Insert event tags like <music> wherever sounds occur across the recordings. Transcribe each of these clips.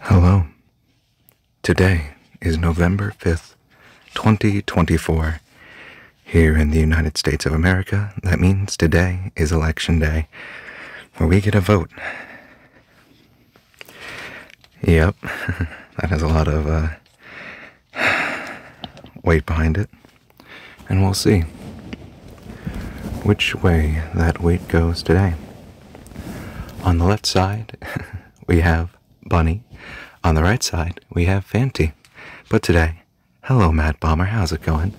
Hello. Today is November 5th, 2024. Here in the United States of America, that means today is Election Day, where we get a vote. Yep, <laughs> that has a lot of uh, weight behind it. And we'll see which way that weight goes today. On the left side, <laughs> we have Bunny. On the right side, we have Fanti. But today, hello, Mad Bomber, how's it going?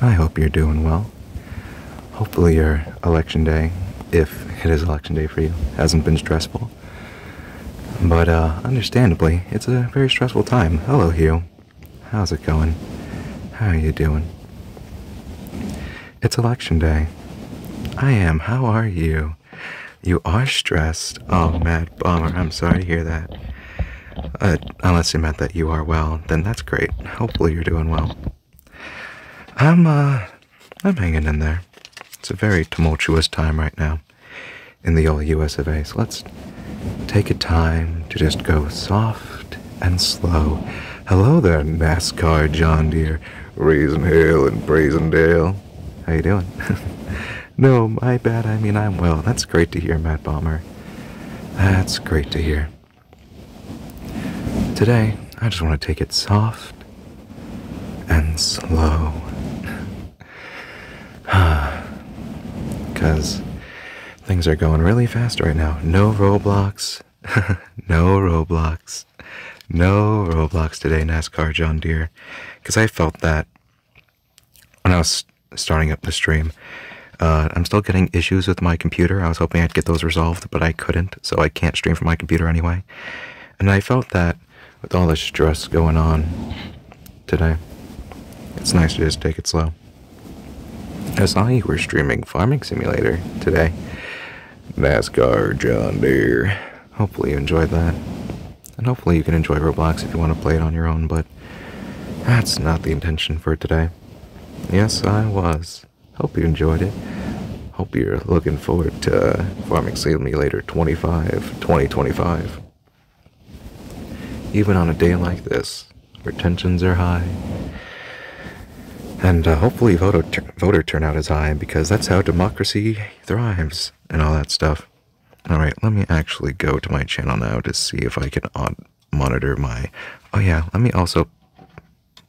I hope you're doing well hopefully your election day, if it is election day for you, hasn't been stressful. But uh, understandably, it's a very stressful time. Hello, Hugh. How's it going? How are you doing? It's election day. I am. How are you? You are stressed. Oh, mad bomber. I'm sorry to hear that. Uh, unless you meant that you are well, then that's great. Hopefully, you're doing well. I'm uh I'm hanging in there. It's a very tumultuous time right now in the old US of A. So let's take a time to just go soft and slow. Hello there, NASCAR John Deere, Raisin Hill and Brazendale. How you doing? <laughs> no, my bad. I mean, I'm well. That's great to hear, Matt Bomber. That's great to hear. Today, I just want to take it soft and slow. Because <sighs> things are going really fast right now. No Roblox. <laughs> no Roblox. No Roblox today, NASCAR John Deere. Because I felt that when I was starting up the stream. Uh, I'm still getting issues with my computer. I was hoping I'd get those resolved, but I couldn't so I can't stream from my computer anyway. And I felt that with all the stress going on today, it's nice to just take it slow. I saw you were streaming Farming Simulator today. NASCAR, John Deere. Hopefully you enjoyed that. And hopefully you can enjoy Roblox if you want to play it on your own, but that's not the intention for today. Yes, I was Hope you enjoyed it. Hope you're looking forward to uh, Farming Simulator 25 2025. Even on a day like this, where tensions are high, and uh, hopefully voter, tur voter turnout is high because that's how democracy thrives and all that stuff. All right, let me actually go to my channel now to see if I can monitor my. Oh yeah, let me also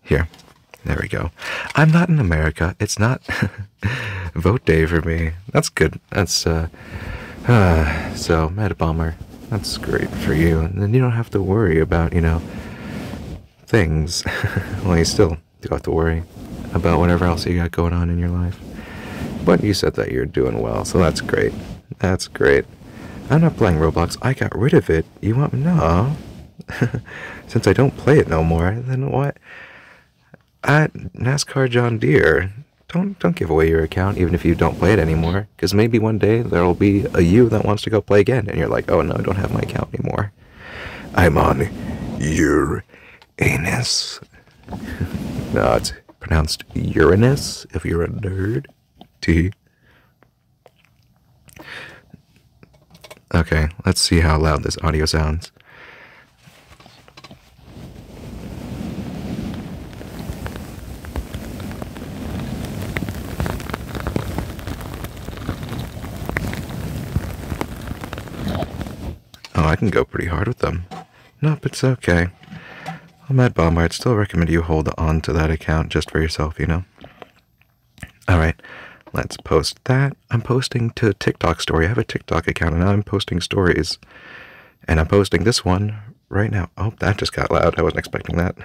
here. There we go. I'm not in America. It's not <laughs> vote day for me. That's good. That's uh, uh <sighs> so mad bummer. That's great for you. And then you don't have to worry about, you know, things. <laughs> well, you still do have to worry about whatever else you got going on in your life. But you said that you're doing well, so that's great. That's great. I'm not playing Roblox. I got rid of it. You want me to know? <laughs> Since I don't play it no more, then what? At NASCAR John Deere, don't don't give away your account even if you don't play it anymore. Because maybe one day there'll be a you that wants to go play again, and you're like, oh no, I don't have my account anymore. I'm on your anus. <laughs> no, it's pronounced Uranus if you're a nerd. T Okay, let's see how loud this audio sounds. Oh, I can go pretty hard with them. Nope, it's okay. Well, Mad Bomber. I'd still recommend you hold on to that account just for yourself, you know? All right, let's post that. I'm posting to TikTok story. I have a TikTok account and I'm posting stories. And I'm posting this one right now. Oh, that just got loud. I wasn't expecting that.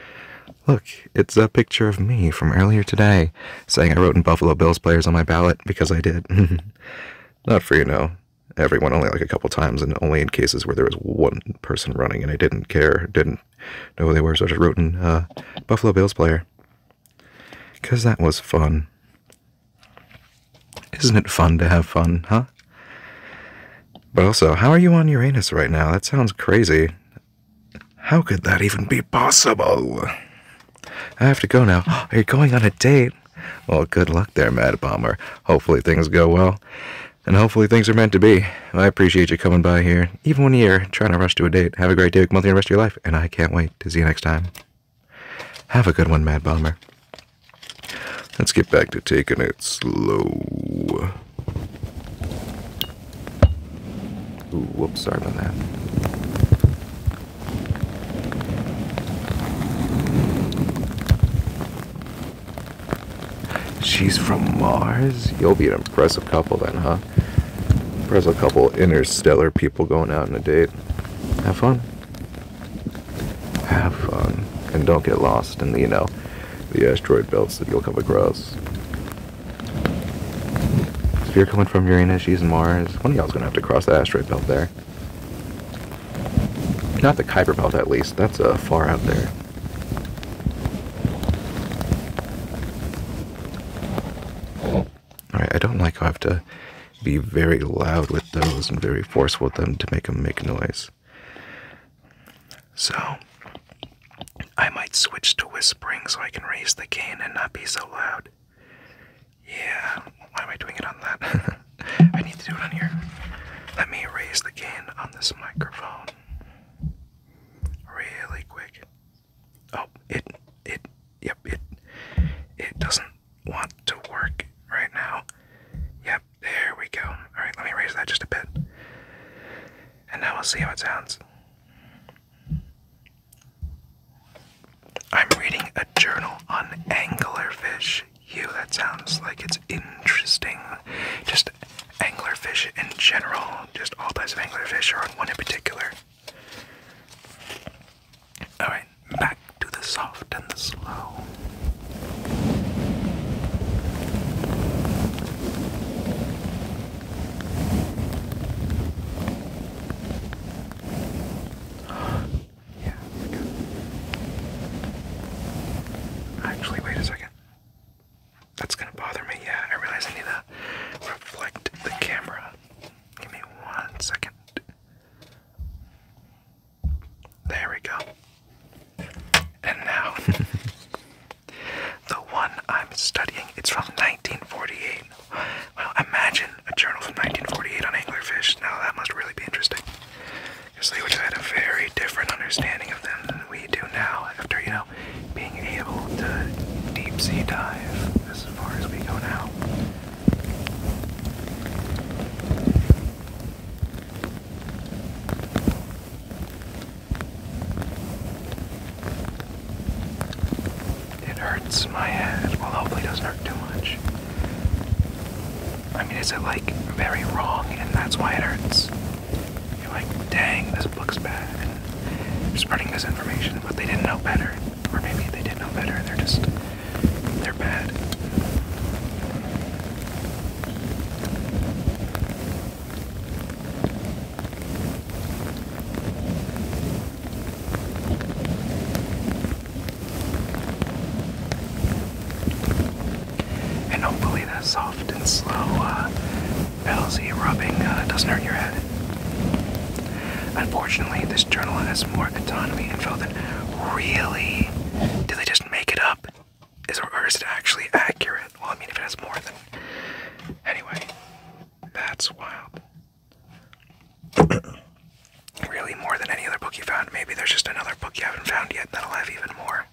<laughs> Look, it's a picture of me from earlier today saying I wrote in Buffalo Bills players on my ballot because I did. <laughs> Not for you know. Everyone only like a couple times and only in cases where there was one person running and I didn't care, didn't no, they were, so I just wrote in uh, Buffalo Bills player. Because that was fun. Isn't it fun to have fun, huh? But also, how are you on Uranus right now? That sounds crazy. How could that even be possible? I have to go now. <gasps> Are you going on a date? Well, good luck there, Mad Bomber. Hopefully things go well. And hopefully things are meant to be. I appreciate you coming by here, even when you're trying to rush to a date. Have a great day, month, and the rest of your life, and I can't wait to see you next time. Have a good one, Mad Bomber. Let's get back to taking it slow. whoops, sorry about that. She's from Mars? You'll be an impressive couple then, huh? there's a couple interstellar people going out on a date. Have fun. Have fun. And don't get lost in the, you know, the asteroid belts that you'll come across. If you're coming from Uranus, she's in Mars, one of y'all's gonna have to cross the asteroid belt there. Not the Kuiper belt, at least. That's uh, far out there. Alright, I don't like how I have to be very loud with those and very forceful with them to make them make noise. So, I might switch to whispering so I can raise the gain and not be so loud. Yeah, why am I doing it on that? <laughs> I need to do it on here. Let me raise the cane on this microphone really quick. Oh, it it yep, it it doesn't want to work right now. Yep, there we go. Alright, let me raise that just a bit. And now we'll see how it sounds. I'm reading a journal on anglerfish. You that sounds like it's interesting. Just anglerfish in general, just all types of anglerfish, or one in particular. Alright, back to the soft and the slow. <gasps> yeah, Actually, wait a second. That's gonna bother me. Yeah, I realize I need to reflect the camera. Give me one second. There we go. And now, <laughs> the one I'm studying, it's from 1948. Well, imagine a journal from 1948 on anglerfish. Now, that must really be interesting. Because they would have had a very different understanding of them than we do now after, you know, being able to deep sea dive as far as we go now. It hurts my head. Well, hopefully, it doesn't hurt too much. I mean, is it like very wrong and that's why it hurts? You're like, dang, this book's bad. And they spreading misinformation, but they didn't know better. Or maybe they did know better, they're just, they're bad. And hopefully that soft and slow uh, Palsy rubbing uh, doesn't hurt your head. Unfortunately, this journal has more autonomy info than really, did they just make it up? Is or is it actually accurate? Well, I mean, if it has more than anyway, that's wild. <coughs> really, more than any other book you found. Maybe there's just another book you haven't found yet that'll have even more.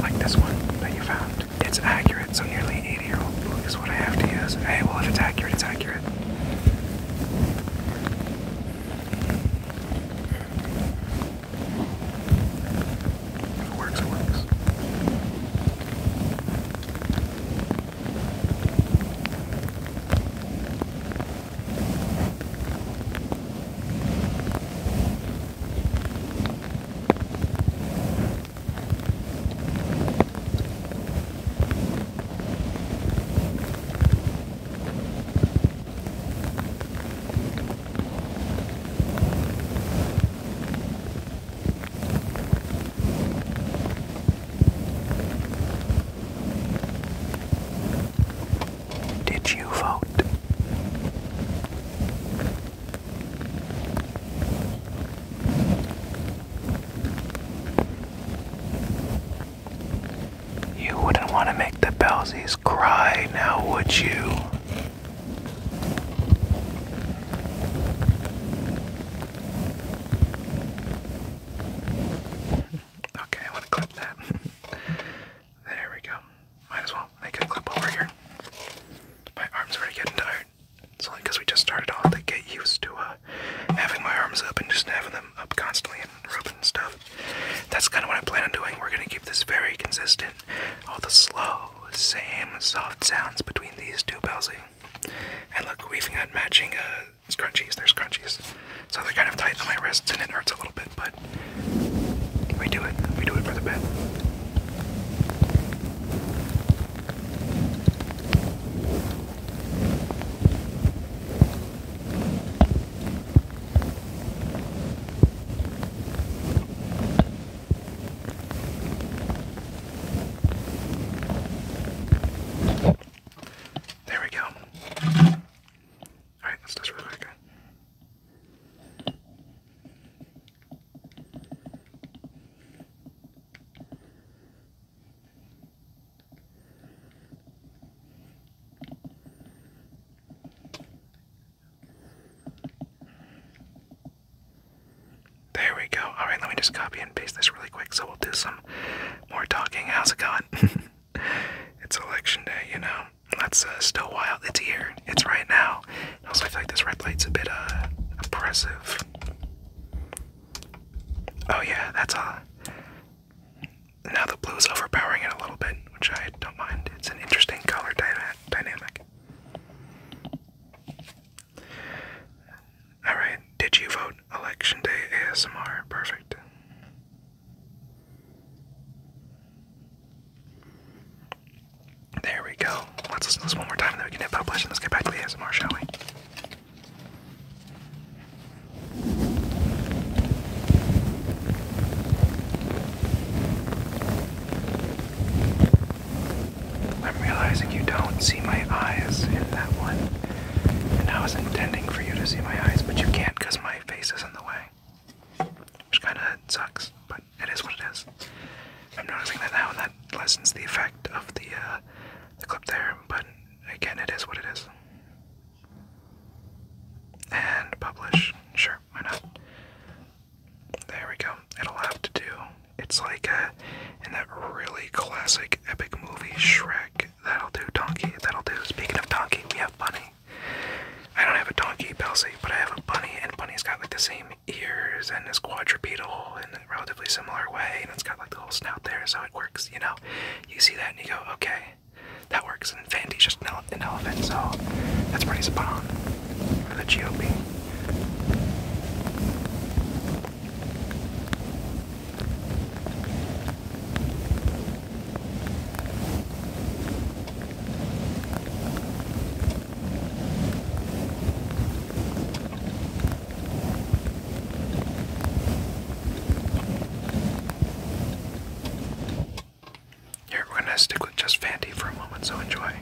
Like this one that you found. It's accurate, so nearly 80 year old is what I have to use. Hey, well, if it's accurate, it's accurate. it works, it works. Did you vote? You wouldn't want to make the Belsies cry now, would you? <laughs> okay, I want to clip that. <laughs> there we go might as well make a clip over here. My arm's already getting tired. It's only because we just started off to get used to uh, having my arms up and just having them up constantly and rubbing stuff. That's kind of what I plan on doing. We're going to keep this very consistent. All the slow, same soft sounds between these two bouncing. And look, we've got matching uh, scrunchies. They're scrunchies. So they're kind of tight on my wrists and it hurts a little bit, but we do it. We do it for the bit. There we go. Alright, let's just relax. There we go. All right, let me just copy and paste this really quick so we'll do some more talking. How's it going? <laughs> it's election day, you know. That's uh, still wild. It's here. It's right now. I also, feel like this red light's a bit uh, oppressive. Oh yeah, that's all. Uh, now the blue is overpowering it a little bit, which I don't mind. It's an interesting color dyna dynamic. Alright, did you vote election day ASMR? Perfect. There we go. Let's listen to this one more time and then we can hit publish and let's get back to the ASMR, shall we? I'm realizing you don't see my eyes in that one. And I was intending for you to see my eyes, but you can't because my face is in the way. Which kinda sucks, but it is what it is. I'm noticing that now, and that lessens the effect of the uh, the clip there. But again, it is what it is. And publish. Sure, why not? There we go. It'll have to do. It's like uh, in that really classic epic movie Shrek. That'll do, donkey. That'll do. Speaking of donkey, we have bunny. I don't have a donkey, Belsey, but I have a bunny, and bunny's got like the same ears and is quadrupedal in a relatively similar way, and it's got like the little snout there, so it works, you know. You see that and you go, okay, that works. And Vandy's just an elephant, so that's pretty spot on for the GOP. Here, we're gonna stick with just Fandy for a moment, so enjoy.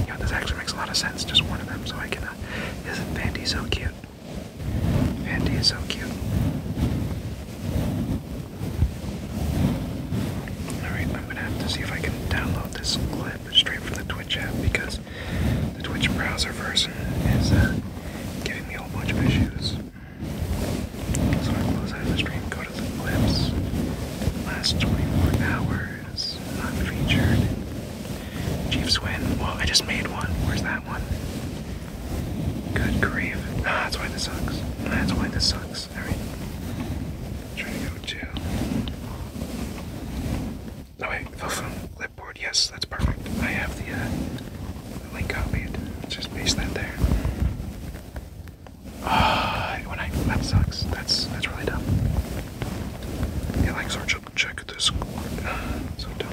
You know, this actually makes a lot of sense, just one of them, so I can. Uh, isn't Fandy so cute? Fandy is so cute. Alright, I'm gonna have to see if I can download this clip straight from the Twitch app because the Twitch browser version is uh, giving me a whole bunch of issues. So I close out of the stream, go to the clips. Last 24 hours, not featured. Chiefs win. Well, I just made one. Where's that one? Good grief. Ah, that's why this sucks. That's why this sucks. Alright trying to go to. Oh wait, fell from clipboard. Yes, that's perfect. I have the, uh, the link copied. Let's just paste that there. Ah, uh, when I that sucks. That's that's really dumb. Yeah, like sort of check this. Ah, so dumb.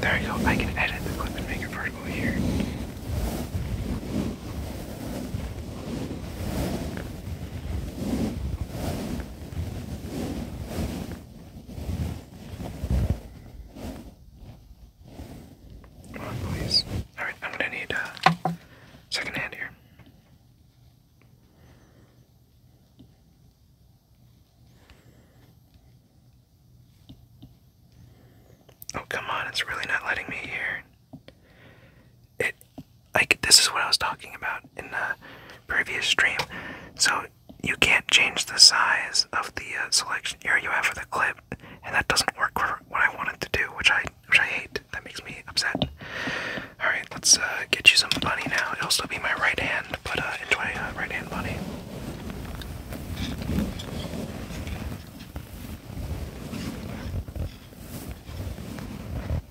There you go, I can edit the clip and make it vertical here. Come on, please. Alright, I'm gonna need a uh, second hand here. Oh, come on, it's really not letting me here it like this is what I was talking about in the previous stream. So you can't change the size of the uh, selection area you have for the clip, and that doesn't work for what I wanted to do, which I which I hate. That makes me upset. All right, let's uh, get you some money now. It'll still be my right hand, but uh, enjoy uh, right hand money.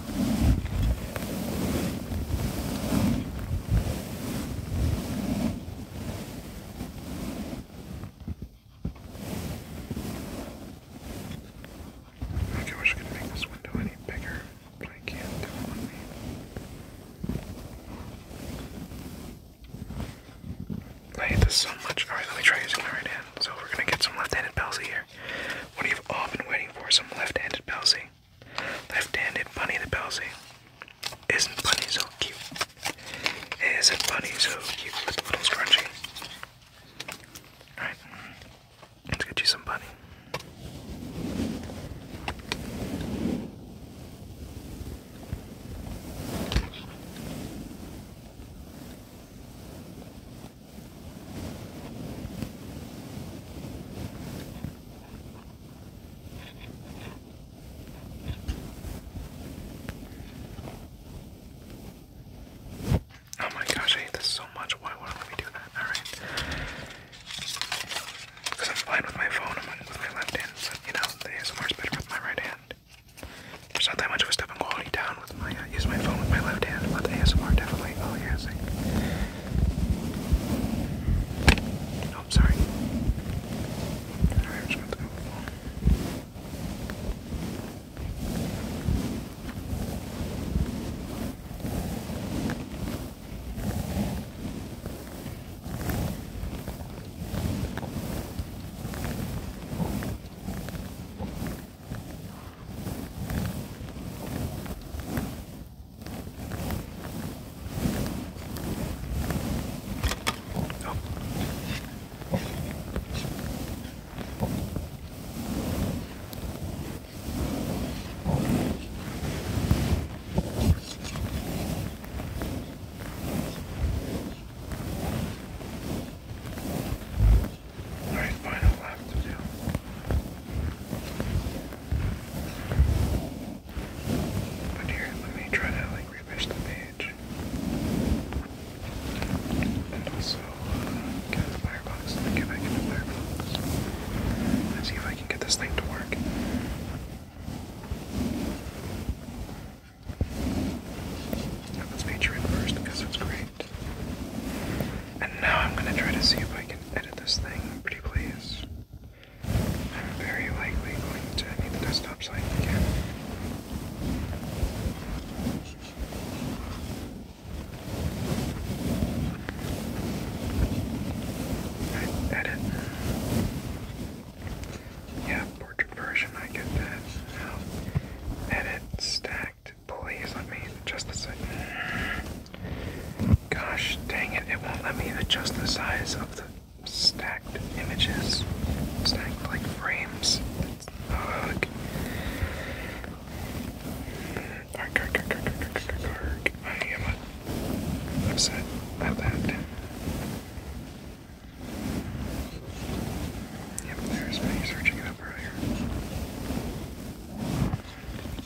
Okay, I wish I could make this window any bigger, but I can't do it on me. I hate this so much. Alright, let me try using my right hand. So we're gonna get some left-handed palsy here. What you've all been waiting for, some left-handed palsy. Left-handed Bunny the Belsey. Isn't Bunny so cute? Isn't Bunny so cute with the little scrunchie? Alright, mm, let's get you some Bunny. Oh my gosh, I hate this so much. Why would I let me do that? Alright. Because I'm fine with my phone, I'm with my left hand, so you know, the ASMR's better with my right hand. There's not that much of a step in quality down with my uh, use my phone with my left hand, but the ASMR definitely oh yeah, Oh, I'm sorry. Alright, I'm just gonna go. All right, final lap to do. But here, let me try to like refresh the page. And also uh, get the firebox. get back into firebox. Let's see if I can get this thing to work. let's feature it first because it's great. And now I'm gonna try to see if I can edit this thing pretty please. I'm very likely going to need the desktop site again. edit. Yeah, portrait version, I get that. edit, stacked. Please let me just a second. Gosh dang it, it won't let me adjust the size of the stacked images, stacked like frames. Ugh. Arc, arc, arc, I am upset that. Yep, there's my searching it up earlier.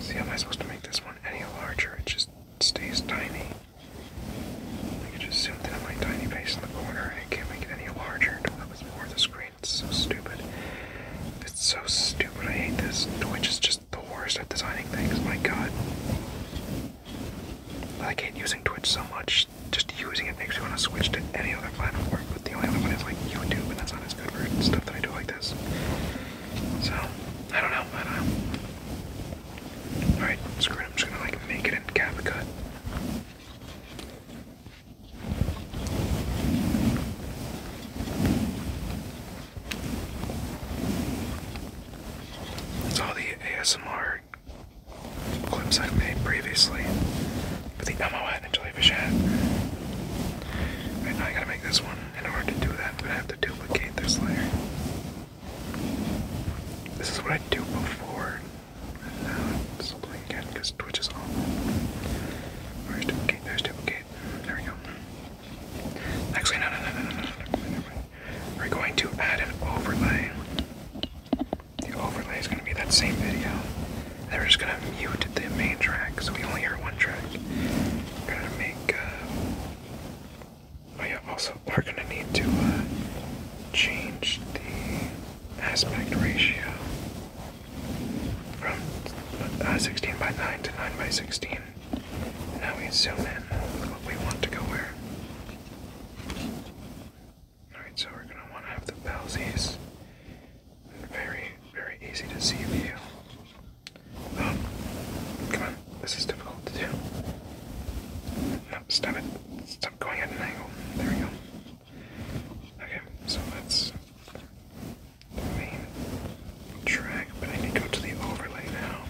See, how am I supposed to make this one any larger? It just stays tiny. I can just zoom in on my tiny face in the corner and I can't make it any larger. that was more the screen. It's so stupid. It's so stupid. I hate this. Twitch is just the worst at designing things. My god. I hate using Twitch so much. Just using it makes me want to switch to any other platform, but the only other one is like YouTube, and that's not as good for stuff that I do like this. So, I don't know. I Alright, screw it. I'm just gonna like make it and cap a all the ASMR clips I've made previously for the Elmo and jellyfish hat. Right now I gotta make this one. In order to do that, I'm gonna have to duplicate this layer. This is what I do before. And now it's doing again because Twitch is on. Where's duplicate? There's duplicate. There we go. Actually, no, no, no, no, no, no, no. We're going to add an overlay the overlay is going to be that same video. They're just going to mute the main track, so we only hear one track. We're going to make. Uh, oh, yeah, also, we're going to need to uh, change the aspect ratio from uh, 16 by 9 to 9 by 16. Now we zoom in what we want to go where. Alright, so we're gonna wanna have the palsies. Very, very easy to see view. Um, come on, this is difficult to do. stop it. Stop going at an angle. There we go. Okay, so let's track, but I need to go to the overlay now.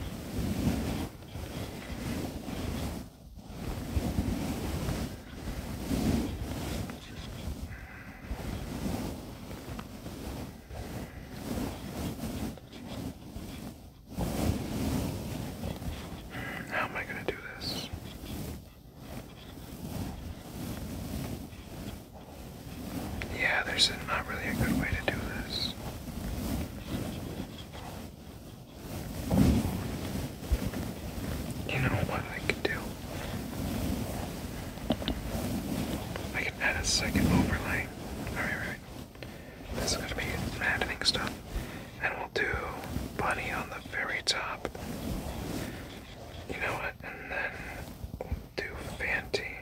How am I going to do this? Yeah, there's not really a good way to do this. You know what I could do? I can add a second overlay. Alright, right. This is gonna be maddening stuff. And we'll do bunny on the very top. You know what? And then we'll do Fanti.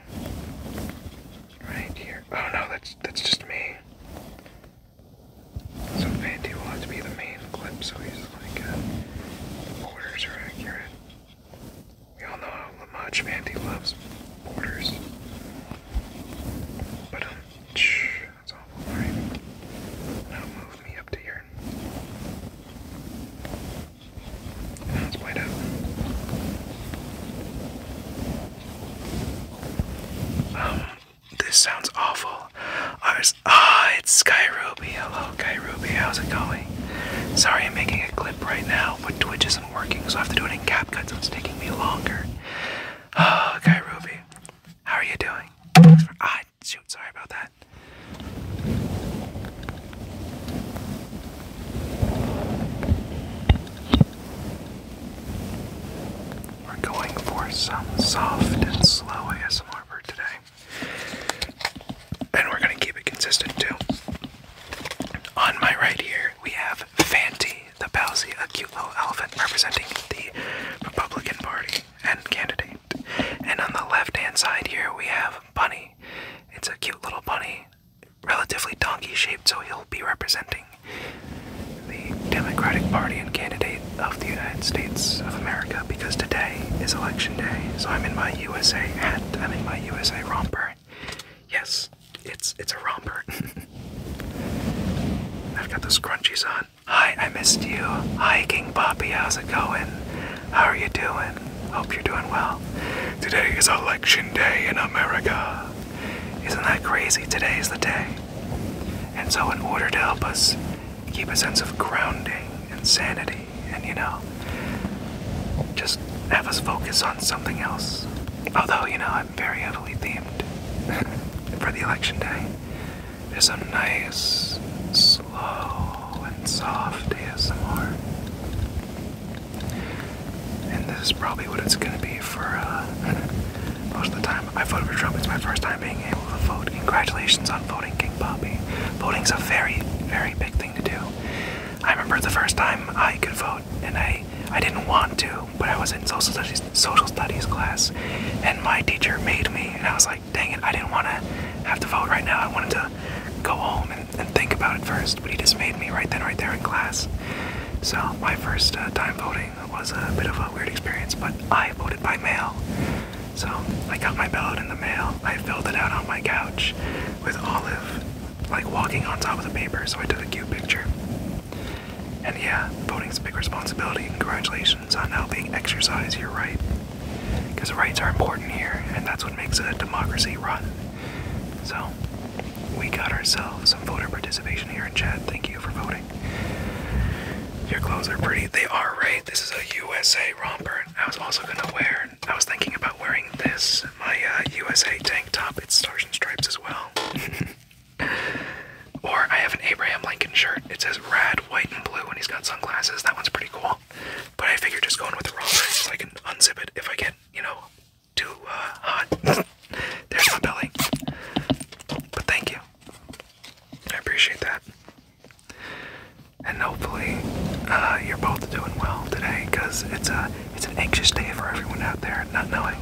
Right here. Oh no, that's that's just me. So will have to be the main clip, so he's like, uh, are accurate. We all know how much Fanti loves borders. But, um, shh, that's awful, alright? Now move me up to here. Now let's out. Um, this sounds awful. Ours. Ah, it's Sky Ruby. Hello, Sky Ruby. How's it going? Sorry, I'm making a clip right now, but Twitch isn't working, so I have to do it in CapCut, so it's taking me longer. Oh, ah, Guy Ruby, how are you doing? ah, shoot, sorry about that. We're going for some soft and slow ASMR today. And we're going to keep it consistent too. On my right here, we have Fanti the Bowsy, a cute little elephant representing the Republican Party and candidate. And on the left hand side here, we have Bunny. It's a cute little bunny, relatively donkey shaped, so he'll be representing the Democratic Party and candidate of the United States of America because today is election day. So I'm in my USA hat. I'm in my USA romper. Yes, it's it's a romper. <laughs> I've got those scrunchies on. Hi, I missed you. Hi, King Poppy. How's it going? How are you doing? Hope you're doing well. Today is election day in America. Isn't that crazy? Today is the day. And so, in order to help us keep a sense of grounding and sanity, and you know, just have us focus on something else. Although, you know, I'm very heavily themed <laughs> for the election day. There's a nice, slow, and soft ASMR. And this is probably what it's gonna be for uh, <laughs> most of the time. I voted for Trump. It's my first time being able to vote. Congratulations on voting, King Poppy. Voting's a very, very big thing to do. I remember the first time I could vote, and I, I didn't want to, but I was in social studies, social studies class, and my teacher made me, and I was like, dang it, I didn't want to have to vote right now. I wanted to go home and, and think about it first, but he just made me right then, right there in class. So my first uh, time voting it was a bit of a weird experience, but I voted by mail. So I got my ballot in the mail. I filled it out on my couch with Olive like walking on top of the paper, so I took a cute picture. And yeah, voting's a big responsibility. Congratulations on now being exercised your right. Because rights are important here, and that's what makes a democracy run. So, we got ourselves some voter participation here in chat. Thank you for voting. Your clothes are pretty. They are, right? This is a USA romper. I was also gonna wear, I was thinking about wearing this, my USA uh, tank top. It's Stars and Stripes as well. <laughs> or I have an Abraham Lincoln shirt. It says rad white, and blue, and he's got sunglasses. That one's pretty cool. But I figured just going with the romper so I can unzip it if I get, you know, too uh, hot. <laughs> There's my belly. But thank you. I appreciate that and hopefully uh, you're both doing well today because it's a it's an anxious day for everyone out there not knowing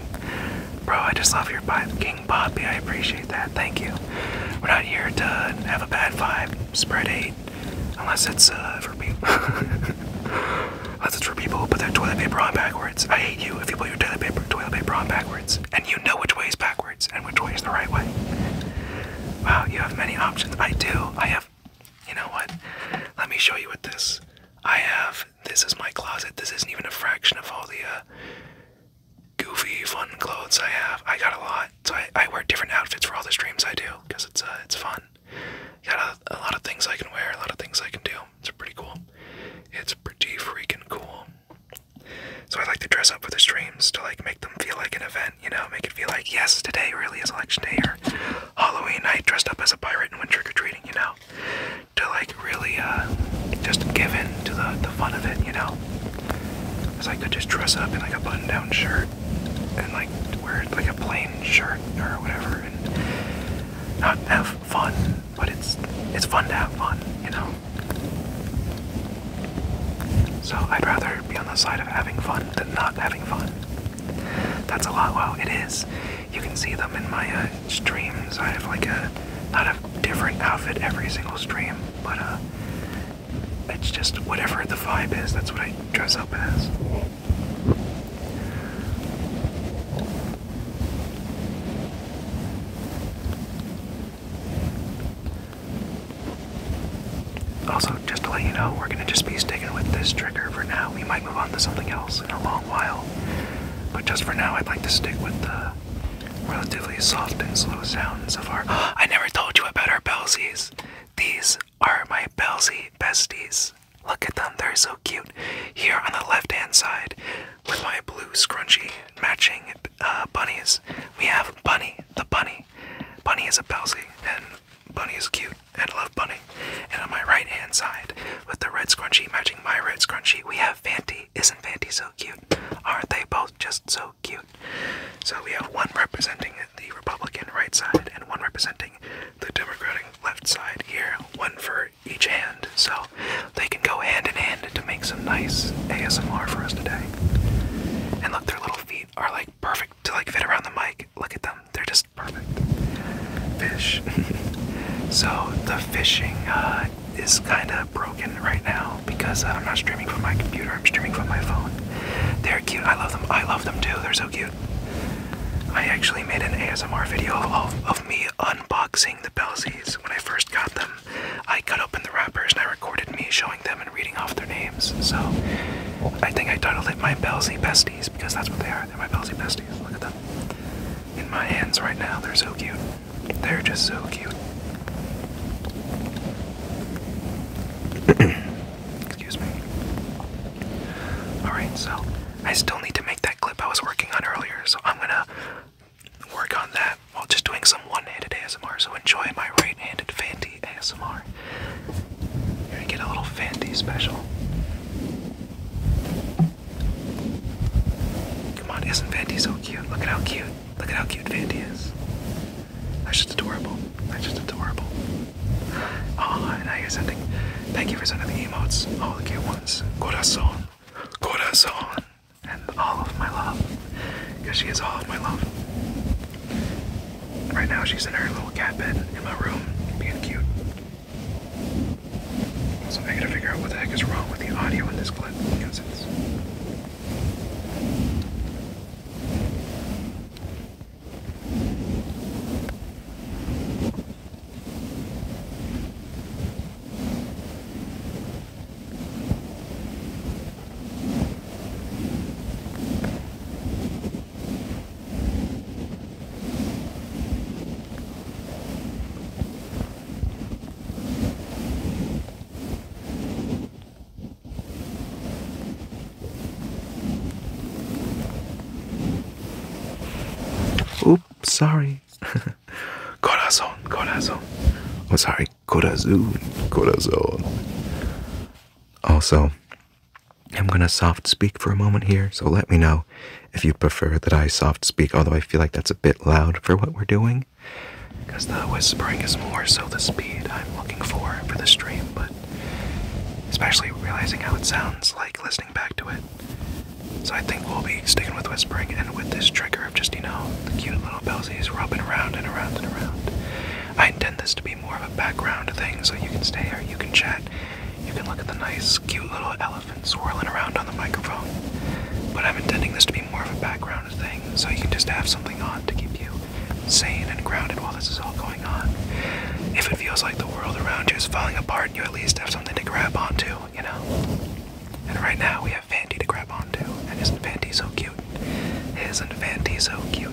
bro i just love your vibe king poppy i appreciate that thank you we're not here to have a bad vibe spread hate unless it's uh, for people <laughs> unless it's for people put their toilet paper on backwards i hate you if you put your toilet paper toilet paper on backwards and you know which way is backwards and which way is the right way. Wow, you have many options. I do. I have, you know what? Let me show you with this. I have, this is my closet. This isn't even a fraction of all the uh, goofy, fun clothes I have. I got a lot. So I, I wear different outfits for all the streams I do because it's, uh, it's fun. Got a lot of things I can wear, a lot of things I can do. It's pretty cool. It's pretty freaking cool. So I like to dress up for the streams to like make them feel like an event, you know, make it feel like yes, today really is election day or Halloween night dressed up as a pirate and went trick or treating, you know, to like really uh, just give in to the the fun of it, you know. Cause I could just dress up in like a button down shirt and like wear like a plain shirt or whatever and not have fun, but it's it's fun to have fun, you know. So I'd rather be on the side of having fun than not having fun. That's a lot. Wow, it is. You can see them in my uh, streams. I have like a not a different outfit every single stream, but uh, it's just whatever the vibe is. That's what I dress up as. Also, just to let you know, we're going to just be sticking with this trigger for now. We might move on to something else in a long while, but just for now, I'd like to stick with the relatively soft and slow sounds so far. <gasps> I never told you about our bellies. These are my Belsie besties. Look at them, they're so cute. Here on the left hand side, with my blue scrunchie matching uh, bunnies, we have Bunny the bunny. Bunny is a palsy, and Bunny is cute, and I love Bunny. And on my right hand side, with the red scrunchie matching my red scrunchie, we have Fanti. Isn't Fanti so cute? Aren't they both just so cute? So we have one representing the Republican right side, and one representing the Democratic left side here, one for each hand, so they can go hand in hand to make some nice ASMR for us today. And look, their little feet are like perfect to like fit around the mic. Look at them, they're just perfect. Fish. <laughs> so the fishing uh, is kind of broken right now because I'm not streaming from my computer, I'm streaming from my phone. They're cute, I love them, I love them too, they're so cute. I actually made an ASMR video of, of me unboxing the Belsies when I first got them. I cut open the wrappers and I recorded me showing them and reading off their names. So I think I titled it My Belsy Besties because that's what they are. They're my Belsy Besties. Look at them. In my hands right now. They're so cute. They're just so cute. <clears throat> Excuse me. Alright, so I still need to make that clip I was working on earlier, so I'm gonna work on that while just doing some one-handed ASMR. So enjoy my right-handed Fanti ASMR. You're gonna get a little Fanti special. Come on, isn't Fanti so cute? Look at how cute. Look at how cute Fanti is. That's just adorable. That's just adorable. Oh, now you're sending. Thank you for sending the emojis, All the cute ones. Corazon. Corazon and all of my love. Because she is all of my love. Right now, she's in her little cat bed in my room, being cute. So I gotta figure out what the heck is wrong with the audio in this clip because it's. Oops, sorry. <laughs> corazón, corazón. Oh, sorry. Corazon, Corazon. Also, I'm going to soft speak for a moment here, so let me know if you prefer that I soft speak, although I feel like that's a bit loud for what we're doing, because the whispering is more so the speed I'm looking for for the stream, but especially realizing how it sounds like listening back to it. So I think we'll be sticking with whispering and with this trigger of just, you know, the cute little bellsies rubbing around and around and around. I intend this to be more of a background thing, so you can stay here, you can chat, you can look at the nice, cute little elephant swirling around on the microphone. But I'm intending this to be more of a background thing, so you can just have something on to keep you sane and grounded while this is all going on. If it feels like the world around you is falling apart, you at least have something to grab onto, you know? And right now we have Fandy to grab onto, and isn't Fandy so cute? Isn't Vandy so cute?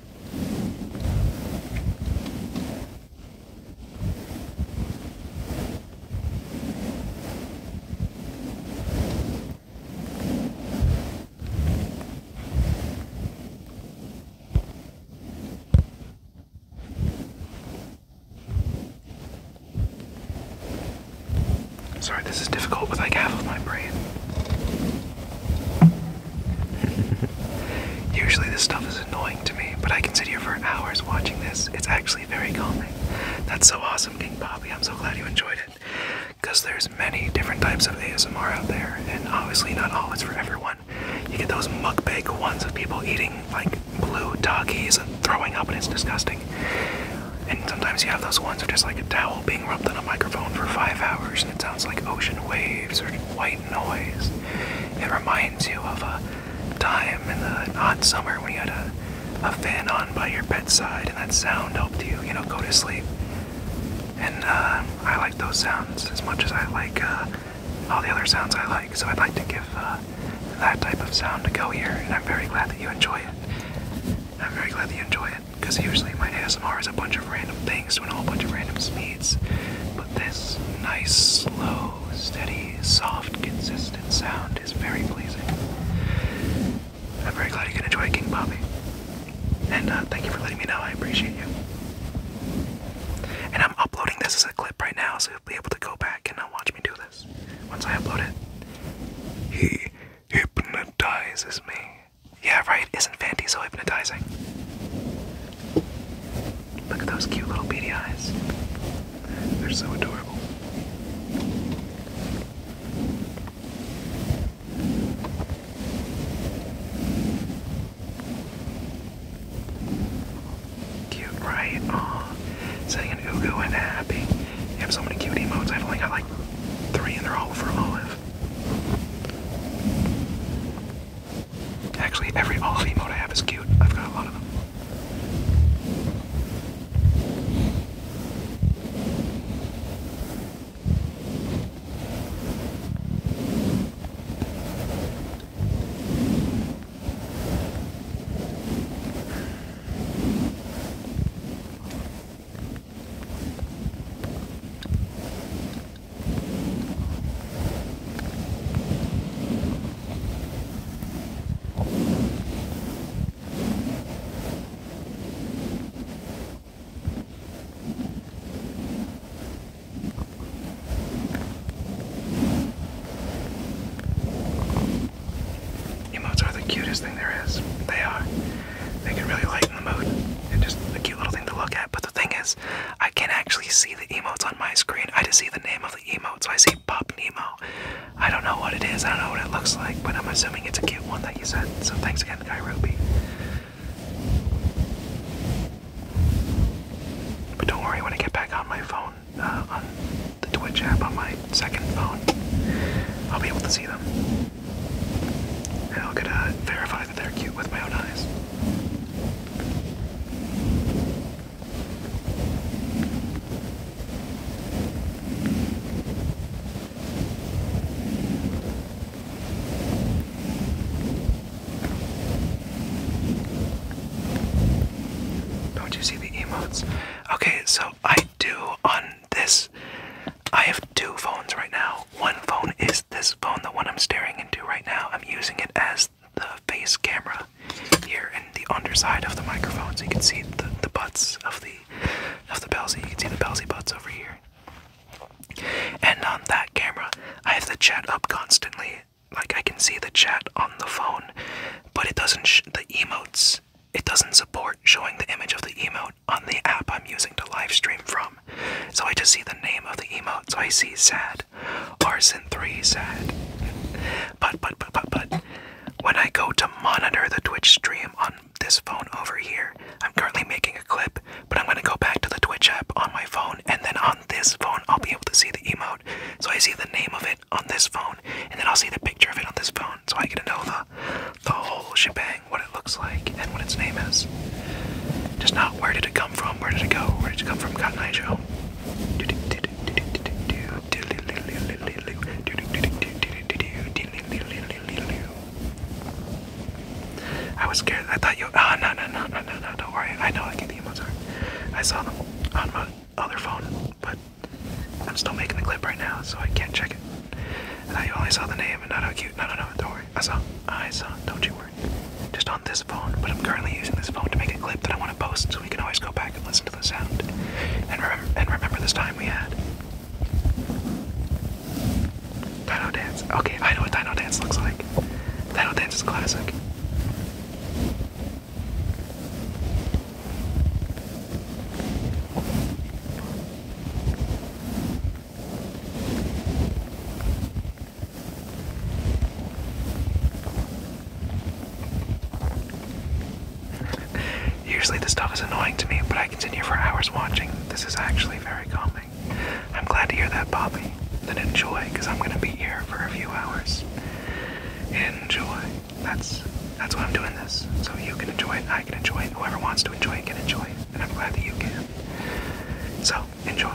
Sorry, this is difficult with like half of my brain. <laughs> Usually this stuff is annoying to me, but I can sit here for hours watching this. It's actually very calming. That's so awesome, King Bobby. I'm so glad you enjoyed it. Because there's many different types of ASMR out there, and obviously not all is for everyone. You get those mukbang ones of people eating like blue doggies and throwing up, and it's disgusting. And sometimes you have those ones of just like a towel metal being rubbed on a microphone for five hours and it sounds like ocean waves or white noise. It reminds you of a time in the hot summer when you had a, a fan on by your bedside and that sound helped you, you know, go to sleep. And uh, I like those sounds as much as I like uh, all the other sounds I like, so I'd like to give uh, that type of sound to go here, and I'm very glad that you enjoy it. I'm very glad that you enjoy it because usually my ASMR is a bunch of random things doing a whole bunch of random speeds. But this nice, slow, steady, soft, consistent sound is very pleasing. I'm very glad you can enjoy King Bobby. And uh, thank you for letting me know. I appreciate you. And I'm uploading this as a clip right now, so you'll be able to go back and uh, watch me do this. Once I upload it, he hypnotizes me. Yeah, right? Isn't Fanty so hypnotizing? Look at those cute little beady eyes. They're so adorable. Cute, right? Aw. Setting an and Happy. You have so many cute emotes. I've only got like three and they're all for Olive. Actually, every all of I have is cute. I've got a lot of them. Emotes are the cutest thing there is. They are. They can really lighten the mood. And just a cute little thing to look at. But the thing is, I can't actually see the emotes on my screen. I just see the name of the emote. So I see Pop Nemo. I don't know what it is. I don't know what it looks like. But I'm assuming it's a cute one that you sent. So thanks again, Kairobi. But don't worry, when I get back on my phone, uh, on the Twitch app on my second phone, I'll be able to see them. How could I verify that they're cute with my own eyes? Don't you see the emotes? Okay, so I do on this I have two phones right now. One phone is this phone, the one I'm staring into right now. I'm using it as the face camera here in the underside of the microphone so you can see the, the butts of the of the Belsey. You can see the Belsey butts over here. And on that camera, I have the chat up constantly. Like I can see the chat on the phone, but it doesn't the emotes. It doesn't support showing the image of the emote on the app I'm using to live stream from. So I just see the name of the emote. So I see sad, arson three sad. But but but but but when I go to monitor the Twitch stream on this phone over here, I'm currently making a clip, but I'm gonna go back to the Twitch app on my phone, and then on this phone I'll be able to see the emote. So I see the name of it on this phone, and then I'll see the picture of it on this phone, so I get to know the the whole shebang what it looks like, and what its name is. Just not where did it come from, where did it go, where did it come from, Cotton Eye I was scared. I thought you. Oh, no, no, no, no, no, no. Don't worry. I know I can get the emotes are. I saw them on my other phone, but I'm still making the clip right now, so I can't check it. I thought you only saw the name and not how cute. No, no, no. Don't worry. I saw. I saw. Don't you worry. Just on this phone, but I'm currently using this phone to make a clip that I want to post so we can always go back and listen to the sound. and remember this time we had. Dino Dance. Okay, I know what Dino Dance looks like. Dino Dance is classic. Usually this stuff is annoying to me, but I continue for hours watching. This is actually very calming. I'm glad to hear that, Bobby. Then enjoy, because I'm gonna be here for a few hours. Enjoy. That's that's why I'm doing this. So you can enjoy it, I can enjoy it, whoever wants to enjoy it can enjoy it. And I'm glad that you can. So enjoy.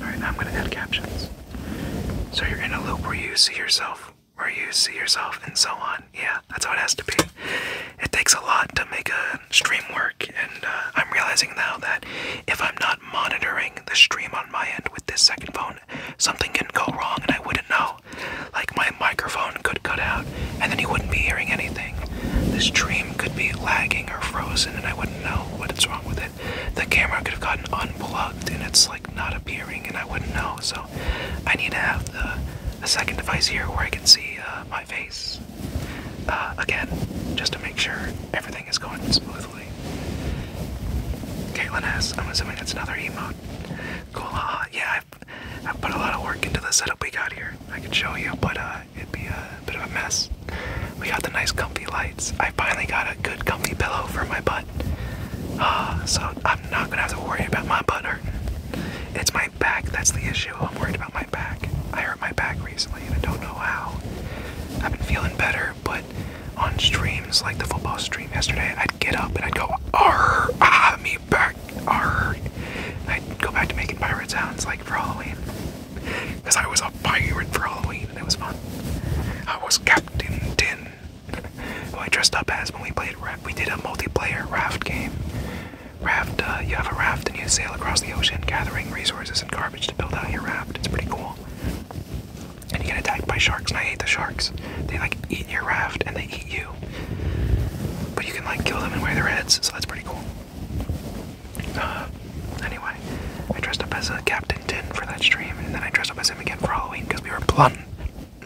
Alright, I'm going to add captions. So you're in a loop where you see yourself, where you see yourself, and so on. Yeah, that's how it has to be. It takes a lot to make a stream work, and uh, I'm realizing now that if I'm not monitoring the stream on my end with this second phone, something can go wrong and I wouldn't know. Like my microphone could cut out, and then you wouldn't be hearing anything. The stream could be lagging or frozen, and I wouldn't know what's wrong with it. The camera could have gotten unplugged, and it's like not appearing, and I wouldn't know. So I need to have the a second device here where I can see my. Uh, face uh, again just to make sure everything is going smoothly. Caitlin has, I'm assuming that's another emote. Cool, yeah, I've, put a lot of work into the setup we got here. I could show you, but uh, it'd be a bit of a mess. We got the nice comfy lights. I finally got a good comfy pillow for my butt. Uh, so I'm not gonna have to worry about my butt hurting. It's my back that's the issue I'm worried about my back. I hurt my back recently and I don't know how. I've been feeling better, but on streams like the football stream yesterday, I'd get up and I'd go, Arr, ah, me back, arr. I'd go back to making pirate sounds like for Halloween. Because I was a pirate for Halloween and it was fun. I was Captain Tin, who I dressed up as when we played, we did a multiplayer raft game. Raft, uh, you have a raft and you sail across the ocean gathering resources and cargo to build out your raft. It's pretty cool. And you get attacked by sharks, and I hate the sharks. They like eat your raft and they eat you. But you can like kill them and wear their heads, so that's pretty cool. Uh, anyway, I dressed up as a Captain Tin for that stream, and then I dressed up as him again for Halloween because we were plun.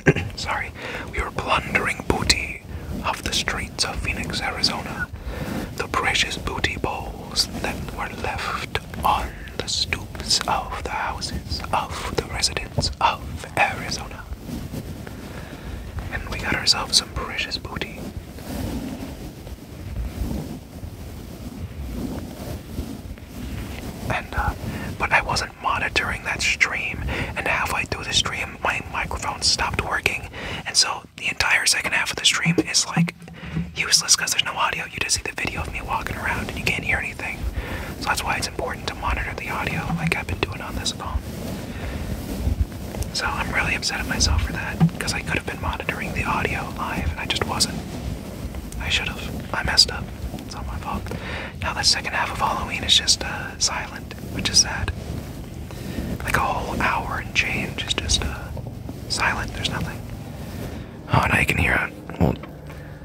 <coughs> Sorry, we were plundering booty off the streets of Phoenix, Arizona. The precious booty bowl that were left on the stoops of the houses of the residents of Arizona. And we got ourselves some precious booty. And, uh, but I wasn't monitoring that stream, and halfway through the stream, my microphone stopped working, and so the entire second half of the stream is like useless because there's no audio. You just see the video of me walking around and you can't hear anything. So that's why it's important to monitor the audio like I've been doing on this phone. So I'm really upset at myself for that because I could have been monitoring the audio live and I just wasn't. I should have. I messed up. It's not my fault. Now the second half of Halloween is just uh, silent, which is sad. Like a whole hour and change is just uh, silent. There's nothing. Oh, now you can hear it. Well,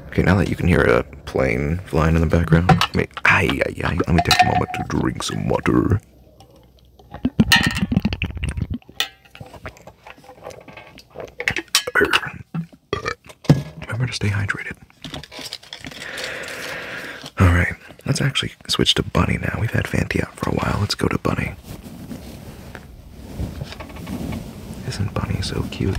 okay, now that you can hear a plane flying in the background. Let me, aye, let me take a moment to drink some water. Remember to stay hydrated. Alright, let's actually switch to Bunny now. We've had Fanti out for a while. Let's go to Bunny. Isn't Bunny so cute?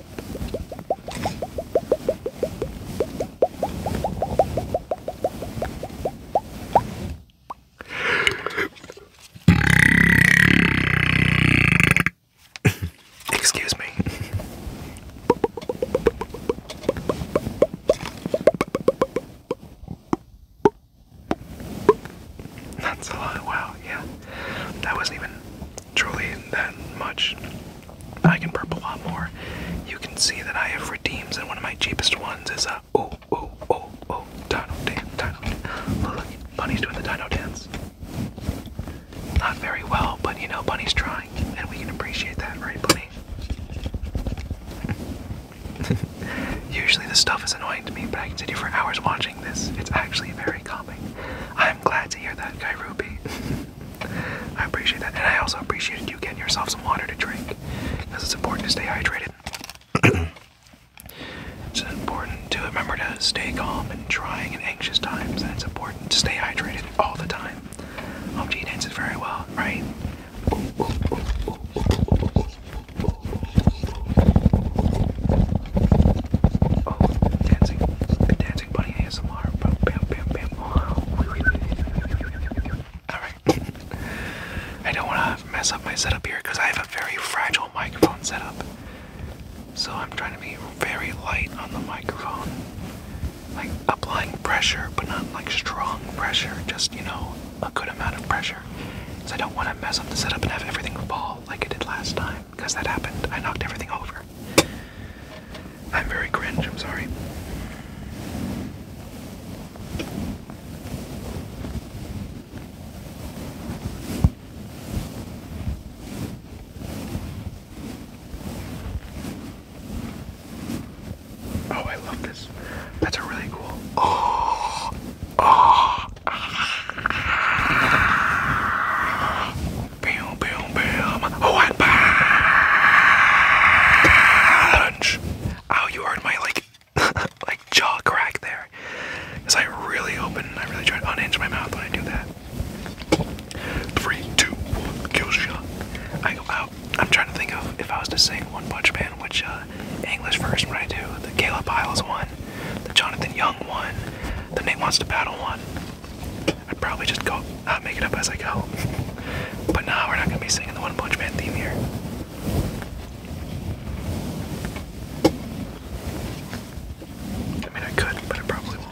Excuse me. That's a lot. Wow, yeah. That wasn't even truly that much. I can burp a lot more. You can see that I have redeems, and one of my cheapest ones is a oh oh oh oh dino dance dino. Look, look, Bunny's doing the dino dance. Not very well, but you know Bunny's trying, and we can appreciate that, right, Bunny? <laughs> Usually this stuff is annoying to me, but I can sit here for hours watching this. It's actually very calming. I'm glad to hear that, Guy Ruby. <laughs> I appreciate that. And I also appreciated you getting yourself some water to drink because it's important to stay hydrated. <clears throat> it's important to remember to stay calm and trying in anxious times. And it's important to stay hydrated all the time. Hope G dances very well, right? dancing, oh, dancing. Alright. I don't want to mess up my setup here because I have a very fragile microphone setup. So I'm trying to be very light on the microphone. Like applying pressure, but not like strong pressure, just, you know, a good amount of pressure. Because I don't want to mess up the setup and have everything fall like it did last time because that happened. I knocked everything over. I'm very cringe, I'm sorry. Oh, I love this. That's a really cool. Oh, oh bam, bam, bam. What oh, punch? Ow, oh, you heard my like, <laughs> like jaw crack there. Cause I really open, I really try to unhinge my mouth when I do that. Three, two, one, kill shot. I go out. I'm trying to think of if I was to sing One Punch Man, which uh, English version would I do? The Caleb Hiles one, the Jonathan Young one, the Nate Wants to Battle one. I would probably just go uh, make it up as I go. <laughs> but now we're not gonna be singing the One Punch Man theme here. I mean, I could, but I probably won't.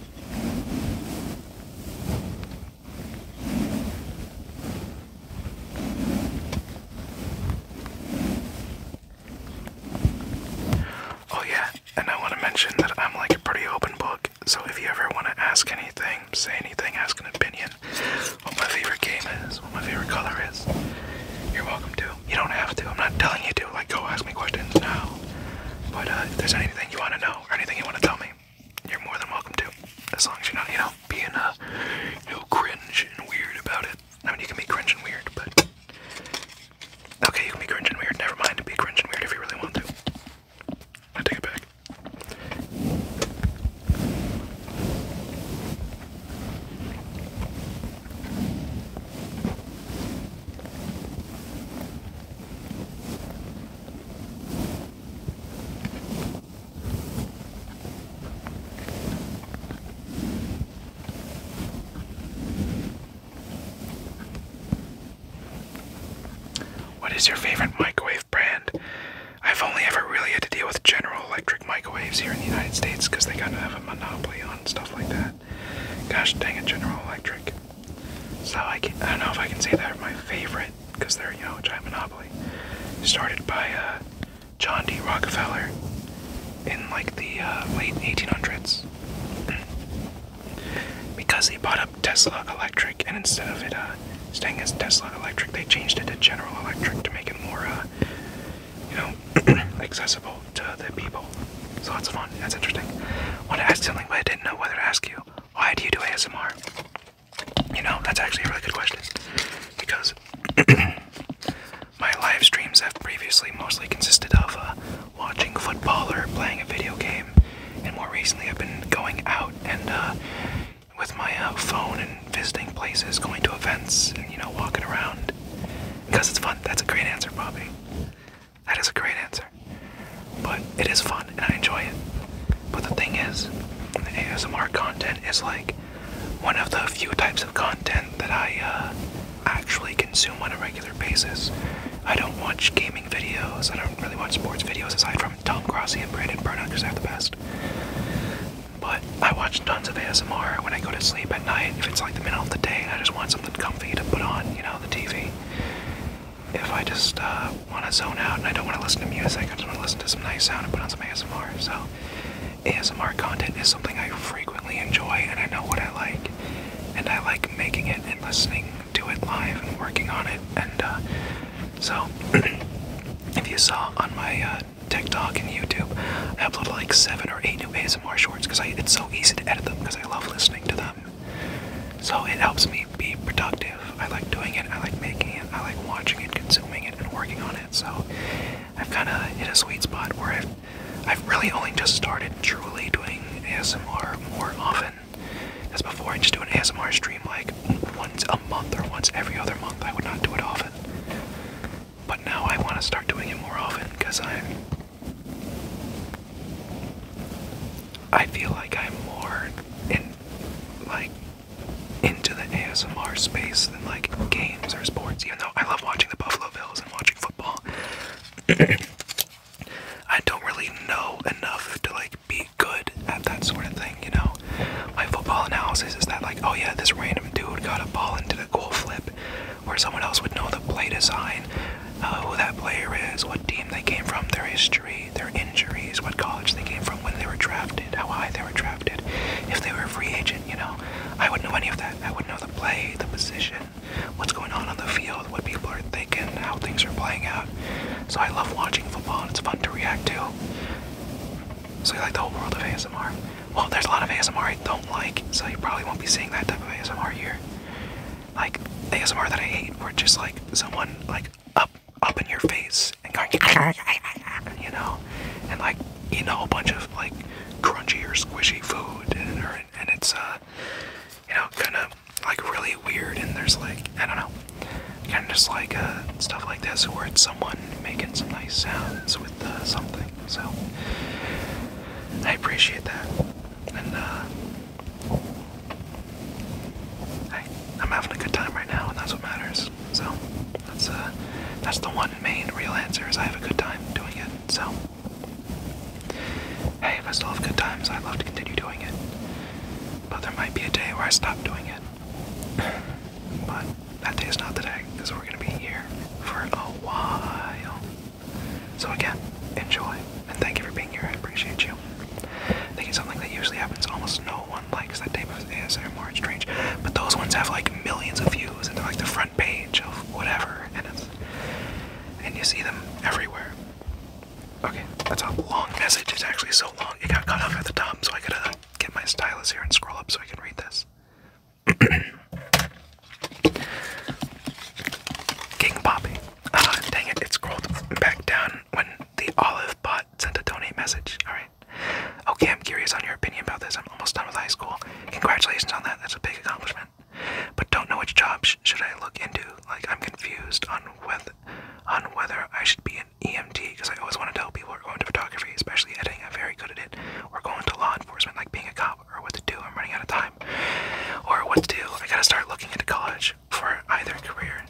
Oh, yeah, and I want to mention that I'm like a pretty open book, so if you ever want to ask anything, say anything, ask an opinion, what my favorite game is, what my favorite color is, you're welcome to. You don't have to, I'm not telling you to, like, go ask me questions now. But uh, if there's anything you want to know or anything you want to tell me, you're more than welcome to. As long as you're not, you know, being uh, you cringe and weird about it. I mean, you can be cringe and weird, but okay, you can be cringe and weird. Never mind, be cringe and weird if you really want to. I take it back. What is your favorite microwave brand? I've only ever really had to deal with General Electric microwaves here in the United States because they kind of have a monopoly on stuff like that. Gosh dang it, General Electric. So I, can, I don't know if I can say they're my favorite because they're you know a giant monopoly. Started by uh, John D. Rockefeller in like the uh, late 1800s <clears throat> because he bought up Tesla Electric and instead of it uh, staying as Tesla Electric, they changed it to General Electric to make it more you know <clears throat> accessible to the people. So that's fun. That's interesting. Want to ask something, but I didn't know whether to ask you. Why do you do ASMR? You know, that's actually a really good question because <clears throat> my live streams have previously mostly consisted of uh, watching football or playing a video game, and more recently I've been going out and uh, with my uh, phone and visiting places, going to events, and you know, walking around because it's fun. That's a great answer, Bobby. That is a great answer. But it is fun and I enjoy it. But the thing is, ASMR content is like one of the few types of content that I uh, actually consume on a regular basis. I don't watch gaming videos, I don't really watch sports videos aside from Tom Grassi and Brandon Burnout because they're the best. But I watch tons of ASMR when I go to sleep at night. If it's like the middle of the day and I just want something comfy to put on, you know, the TV if I just uh, want to zone out and I don't want to listen to music, I just want to listen to some nice sound and put on some ASMR. So, ASMR content is something I frequently enjoy and I know what I like. And I like making it and listening to it live and working on it. And uh, so, <clears throat> if you saw on my uh, TikTok and YouTube, I uploaded like seven or eight new ASMR shorts because it's so easy to edit them because I love listening to them so it helps me be productive. I like doing it, I like making it, I like watching it, consuming it, and working on it. So I've kind of hit a sweet spot where I've, I've really only just started truly doing ASMR more often. As before, I just do an ASMR stream like once a month or once every other month. I would not do it often. But now I want to start doing it more often because I'm. I feel like I'm more in like into the ASMR space than like games or sports, even though I love watching the Buffalo Bills and watching football. <clears throat> I don't really know enough to like be good at that sort of thing, you know. My football analysis is that like, oh yeah, this random dude got a ball and did a cool flip, where someone else would know the play design, uh, who that player is, what team they came from, their history, their injuries, what college they came from, when they were drafted, how high they were drafted, if they were a free agent, you know. I wouldn't know any of that. I wouldn't know the play, the position, what's going on on the field, what people are thinking, how things are playing out. So I love watching football and it's fun to react to. So you like the whole world of ASMR? Well, there's a lot of ASMR I don't like, so you probably won't be seeing that type of ASMR here like ASMR that I hate, where it's just like someone like up up in your face and going <laughs> you know, and like eating a whole bunch of like crunchy or squishy food, and, it's uh, you know, kind of like really weird. And there's like I don't know, kind of just like uh, stuff like this, where it's someone making some nice sounds with uh, something. So I appreciate that, and uh, Hey, I'm having a good time right now, and that's what matters. So that's uh, that's the one main real answer is I have a good time doing it. So hey, if I still have good times, i love to continue doing it. But there might be a day where I stop doing it. <sighs> but that day is not today, because we're gonna be here for a while. So again, enjoy and thank you for being here. I appreciate you you. I think it's something that usually happens. Almost no one likes that type of ASMR. It's strange. But those ones have like millions of views and they're like the front page of whatever. And it's, and you see them everywhere. Okay, that's a long message. It's actually so long. It got cut off at the top, so I gotta get my stylus here and scroll up so I can read this. <coughs> King Poppy. Ah, dang it, it scrolled back down when the olive bot sent a donate message. Alright. Okay, I'm curious on your opinion about this. I'm almost done with high school. Congratulations on that. That's a big accomplishment. But don't know which job should I look into. Like, I'm confused on whether, on whether I should be an EMT because I always want to tell people who are going to photography, especially editing. I'm very good at it. Or going to law enforcement, like being a cop, or what to do. I'm running out of time. Or what to do. I gotta start looking into college for either career.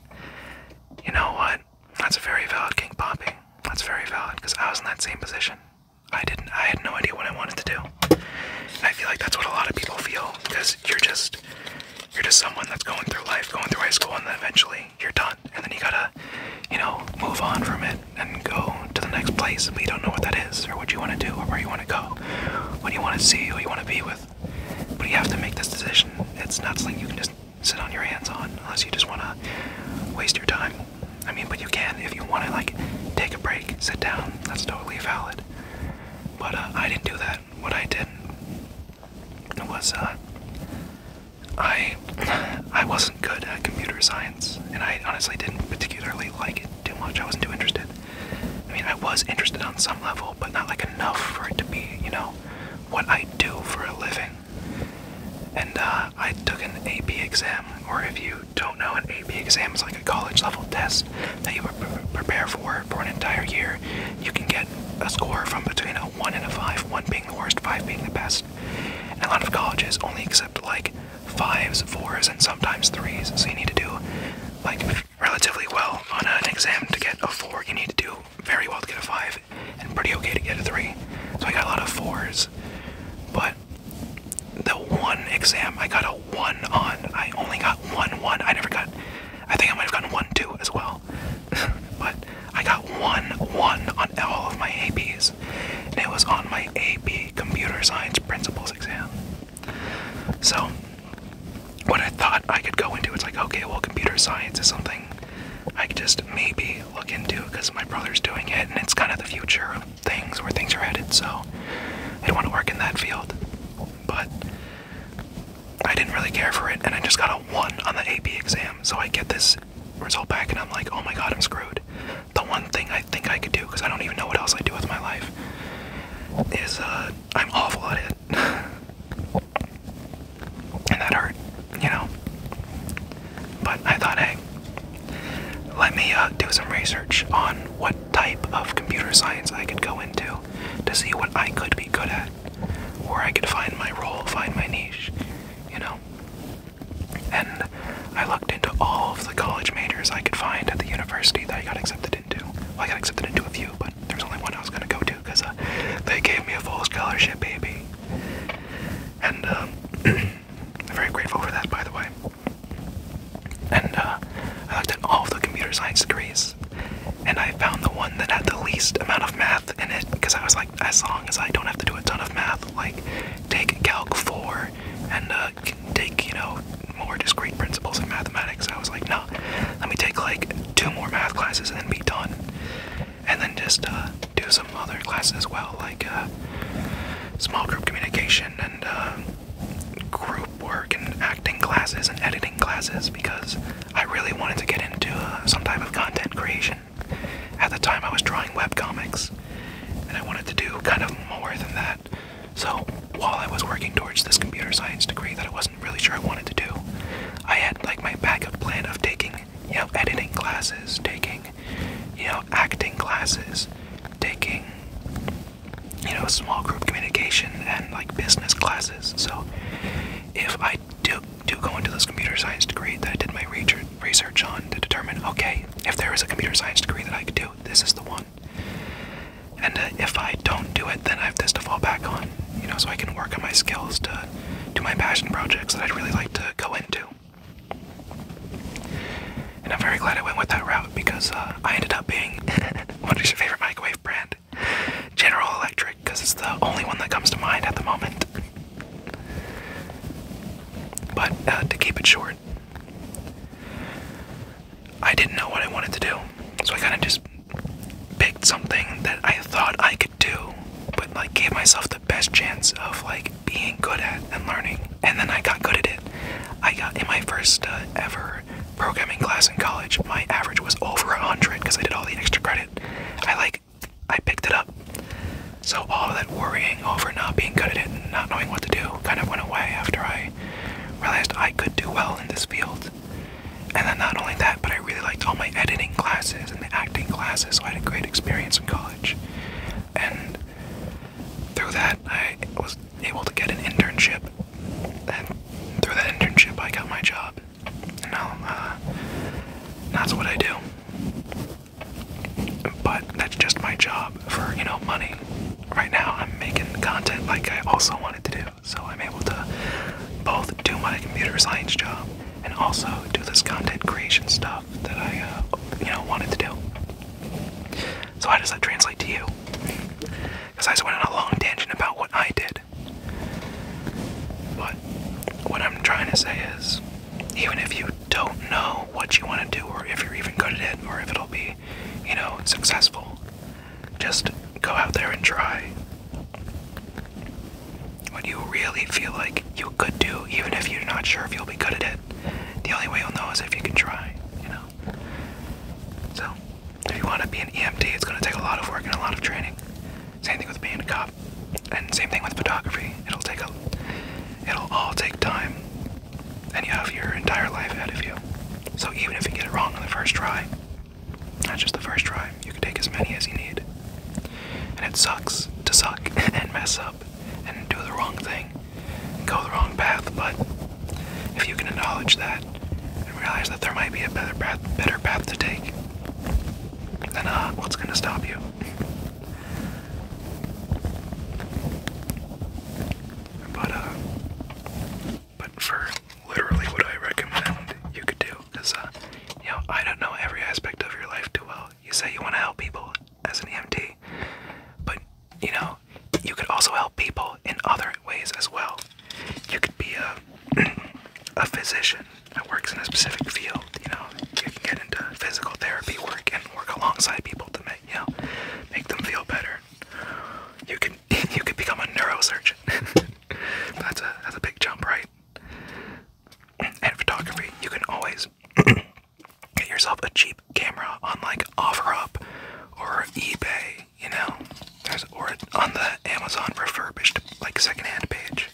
You know what? That's a very valid king popping. That's very valid because I was in that same position. I didn't. I had no idea what I wanted to do. I feel like that's what a lot of people feel because you're just you're just someone that's going through life, going through high school, and then eventually you're done, and then you gotta, you know, move on from it and go to the next place. But you don't know what that is or what you want to do or where you want to go, what you want to see, who you want to be with, but you have to make this decision. It's not something you can just sit on your hands on unless you just want to waste your time. I mean, but you can if you want to, like, take a break, sit down. That's totally valid. But uh, I didn't do that. What I did was uh, I <clears throat> I wasn't good at computer science, and I honestly didn't particularly like it too much. I wasn't too interested. I mean, I was interested on some level, but not like enough for it to be, you know, what I do for a living. And uh, I took an AP exam, or if you don't know, an AP exam is like a college level test that you prepare for for an entire year. You can get a score from between a 1 and a 5, 1 being the worst, 5 being the best. And a lot of colleges only accept like 5s, 4s, and sometimes 3s, so you need to do like relatively well on an exam to get a four. You need to do very well to get a five, and pretty okay to get a three. So I got a lot of fours, but the one exam I got a one on. I only got one one. I never got. I think I might have gotten one two as well, <laughs> but I got one one on all of my APs, and it was on my AP Computer Science Principles exam. So what I thought I could go into. It's like, okay, well, computer science is something I could just maybe look into because my brother's doing it, and it's kind of the future of things where things are headed. So I want to work in that field, but I didn't really care for it, and I just got a one on the AP exam. So I get this result back, and I'm like, oh my god, I'm screwed. The one thing I think I could do, because I don't even know what else I do with my life, is uh, I'm awful at it and that hurt, you know. But I thought, hey, let me uh, do some research on what type of computer science I could go into to see what I could be good at, where I could find my role, find my niche, you know. And I looked into all of the college majors I could find at the university that I got accepted into. I got accepted into a few, but but there's only one I was gonna go to because uh, they gave me a full scholarship, baby. And I'm um, <clears throat> very grateful for that, by the way. And uh, I looked at all of the computer science degrees, and I found the one that had the least amount of math in it because I was like, as long as I don't have to do a ton of math, like take Calc 4 and uh, take, you know, more discrete principles of mathematics. I was like, no, let me take like two more math classes and then be done. And then just uh, do some other classes as well, like uh, small group communication and uh, group work and acting classes and editing classes because I really wanted to get into some type of content creation. At the time, I was drawing webcomics and I wanted to do kind of more than that. So while I was working towards this computer science degree that I wasn't really sure I wanted to do. I had like my backup plan of taking, you know, editing classes, taking, you know, acting classes, taking, you know, small group communication and like business classes. So if I do do go into this computer science degree that I did my research on to determine, okay, if there is a computer science degree that I could do, this is the one. And uh, if I don't do it, then I have this to fall back on you know, so I can work on my skills to do my passion projects that I'd really like to go into. And I'm very glad I went with that route because uh, I ended up being <laughs> what is your favorite microwave brand? General Electric, because it's the only one that comes to mind at the moment. But uh, to keep it short, I didn't know what I wanted to do, so I kind of just picked something that I thought I could do, but like gave myself the best chance of like being good at and learning. And then I got good at it. I got in my first uh, ever programming class in college, my average was over 100 because I did all the extra credit. I like I picked it up. So all that worrying over not being good at it and not knowing what to do kind of went away after I realized I could do well in this field. And then not only that, but I really liked all my editing classes and the acting classes, so I had a great experience in college. And through that, I was able to get an internship. And through that internship, I got my job. And now, uh, that's what I do. But that's just my job for, you know, money. Right now, I'm making content like I also wanted to do. So I'm able to both do my computer science job and also do this content creation stuff that I, uh, you know, wanted to do. So how does that translate to you? Because I just went on a long tangent about what I did. But what I'm trying to say is, even if you don't know what you want to do, or if you're even good at it, or if it'll be, you know, successful, just go out there and try when you really feel like you could do, even if you're not sure if you'll be good at it. The only way you'll know is if you can try, you know? So, if you want to be an EMT, it's going to take a lot of work and a lot of training. Same thing with being a cop, and same thing with photography. It'll take a, it'll all take time, and you have your entire life ahead of you. So even if you get it wrong on the first try, not just the first try, you can take as many as you need. And it sucks to suck <laughs> and mess up and do the wrong thing go the wrong path, but if you can acknowledge that and realize that there might be a better path, better path to take, then uh, what's gonna stop you? <laughs> But uh, but first literally what I recommend you could do. is, uh, you know, I don't know every aspect of your life too well. You say you want to help people as an EMT, but, you know, you could also help people in other ways as well. You could be a, <clears throat> a physician that works in a specific field, you know. You can get into physical therapy work and work alongside people to make, you know, make them feel better. You can <laughs> you could become a neurosurgeon. <laughs> that's a that's a big jump, right? And photography, you can always <clears throat> get yourself a cheap camera on like OfferUp or eBay, you know, There's, or on the Amazon refurbished like secondhand page,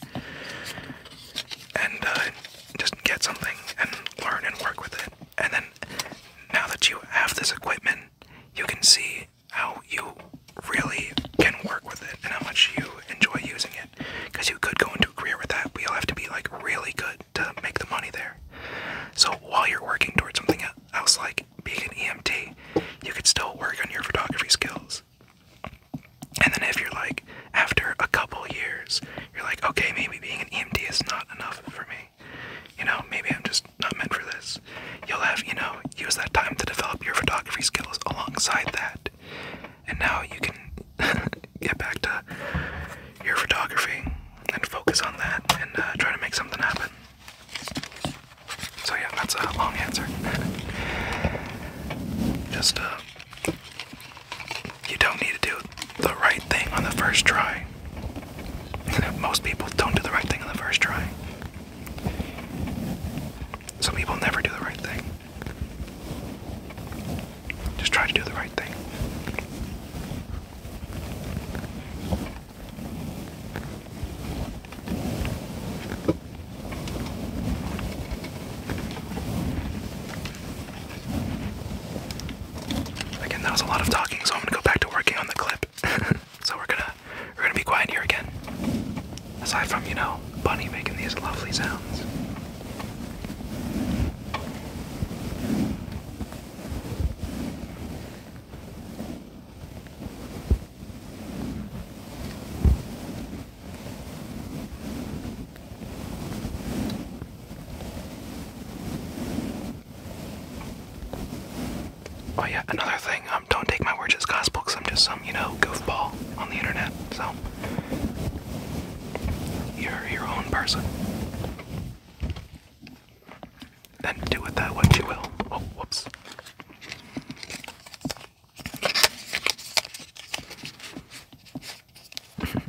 and uh, just get something and learn and work with it. And then now that you have this equipment, you can see how you really can work with it and how much you enjoy using it. Because you could go into a career with that, but you have to be like really good to make the money there. So while you're working towards something else like being an EMT, you could still work on your photography skills. And then if you're like, after a couple years, you're like, okay, maybe being an EMT is not enough for me. You know, maybe I'm just not meant for this you'll have, you know, use that time to develop your photography skills alongside that. And now you can <laughs> get back to your photography and focus on that and uh, try to make something happen. So, yeah, that's a long answer. <laughs> Just, uh, you don't need to do the right thing on the first try. <laughs> Most people don't do the right thing on the first try. Some people never do the right thing. Just try to do the right thing. Again, that was a lot of talking, so I'm gonna go back to working on the clip. <laughs> so we're gonna we're gonna be quiet here again. Aside from, you know, Bunny making these lovely sounds. Oh, yeah, another thing don't take my words as gospel because I'm just some, you know, goofball on the internet. So, you're your own person. And do with that what you will. Oh, whoops. <laughs>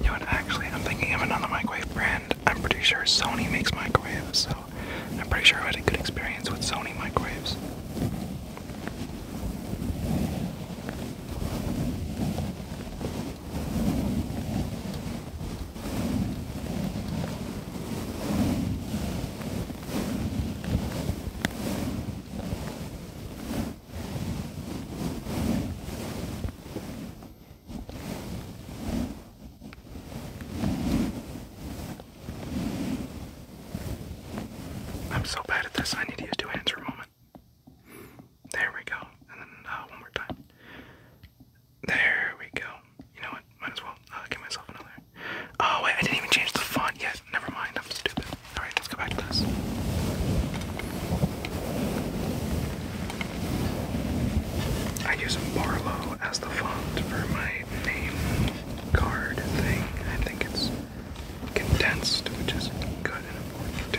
You know what, actually, I'm thinking of another microwave brand. I'm pretty sure Sony makes microwaves, so I'm pretty sure I had a good experience with Sony microwaves. I'm so bad at this, I need to use two hands for a moment. There we go. And then uh, one more time. There we go. You know what? Might as well uh, give myself another. Oh, wait, I didn't even change the font Yes, Never mind, I'm stupid. Alright, let's go back to this. I use Barlow as the font for my name card thing. I think it's condensed, which is good and important.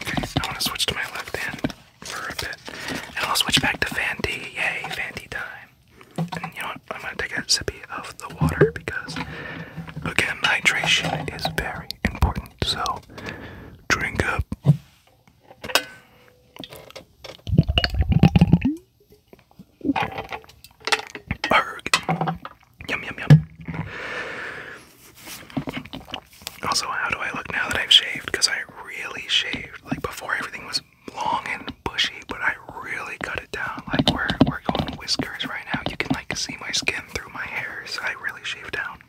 Okay, so I want to switch to my left hand for a bit. And I'll switch back to Fenty. Yay, Fenty time. And you know what? I'm going to take a sip of the water because, again, hydration is very important. So, drink up. Yum, yum, yum. Also, how do I look now that I've shaved? Because I really shaved. Like before, everything was long and bushy, but I really cut it down. Like we're we're going whiskers right now. You can like see my skin through my hair. So I really shaved down.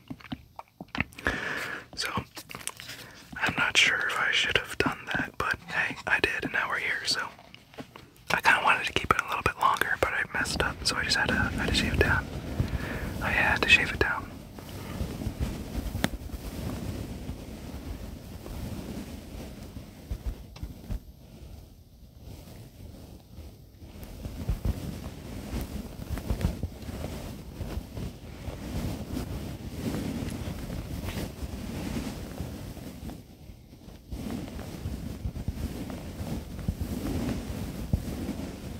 So I'm not sure if I should have done that, but hey, I did, and now we're here. So I kind of wanted to keep it a little bit longer, but I. I messed up, so I just had to, had to shave it down. I had to shave it down. Oh,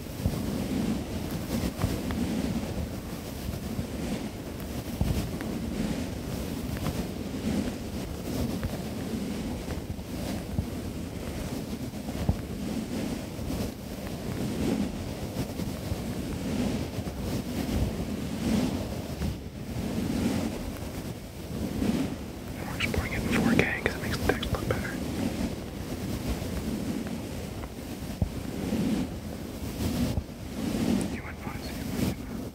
We're just playing it in 4K because it makes the text look better. You went fine, so you went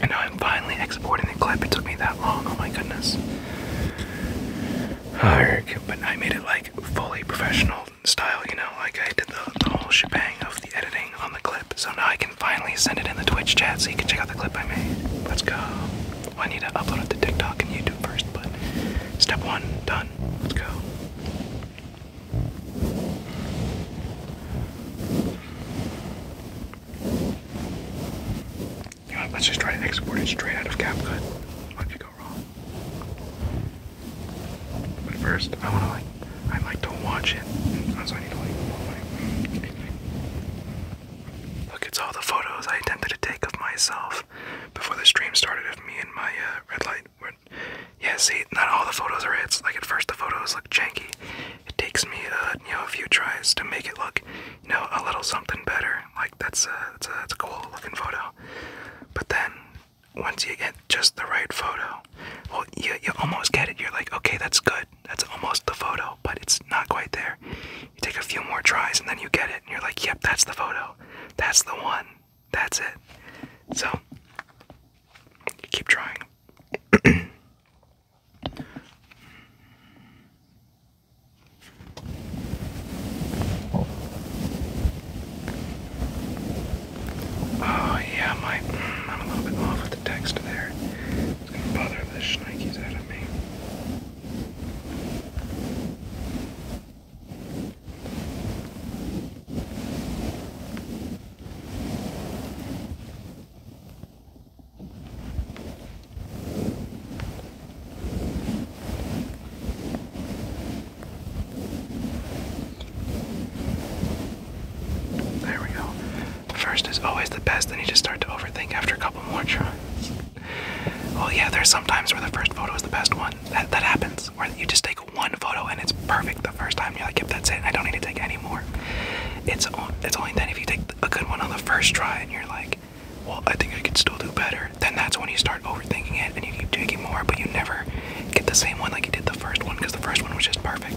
And now I'm finally exporting the clip. It took me that long. Oh my goodness. Ah, but I made it like fully professional style, you know, like I did the, the whole shebang of the editing on the clip. So now I can finally send it in the Twitch chat so you can check out the clip I made. Let's go. I need to upload it to TikTok and YouTube first, but step one, done. Let's go let's just try to export it straight out of CapCut. What could go wrong? But first, I wanna like, I like to watch it. Oh, so I need to like, look, it's all the photos I attempted to take of myself before the stream started of me and my uh, red light yeah, see, not all the photos are hits. Like at first, the photos look janky. It takes me, uh, you know, a few tries to make it look, you know, a little something better. Like that's a, that's a, that's a cool looking photo. But then, once you get just the right photo, well, you, you almost get it. You're like, okay, that's good. That's almost the photo, but it's not quite there. You take a few more tries and then you get it, and you're like, yep, that's the photo. That's the one that's it. So keep trying. <clears throat> oh yeah, my I'm a little bit off with the text there. bother the shnikes out of me. There we go. The first is always the best, then you just start to overthink after a couple more tries. Oh yeah, there's sometimes where the first photo is the best one. That that happens. Or you just take one photo and it's perfect the first time. You're like, yep, that's it. I don't need to take anymore." It's it's only then if you take a good one on the first try and you're like, well, I think I could still do better. Then that's when you start overthinking it and you keep taking more, but you never get the same one like you did the first one because the first one was just perfect.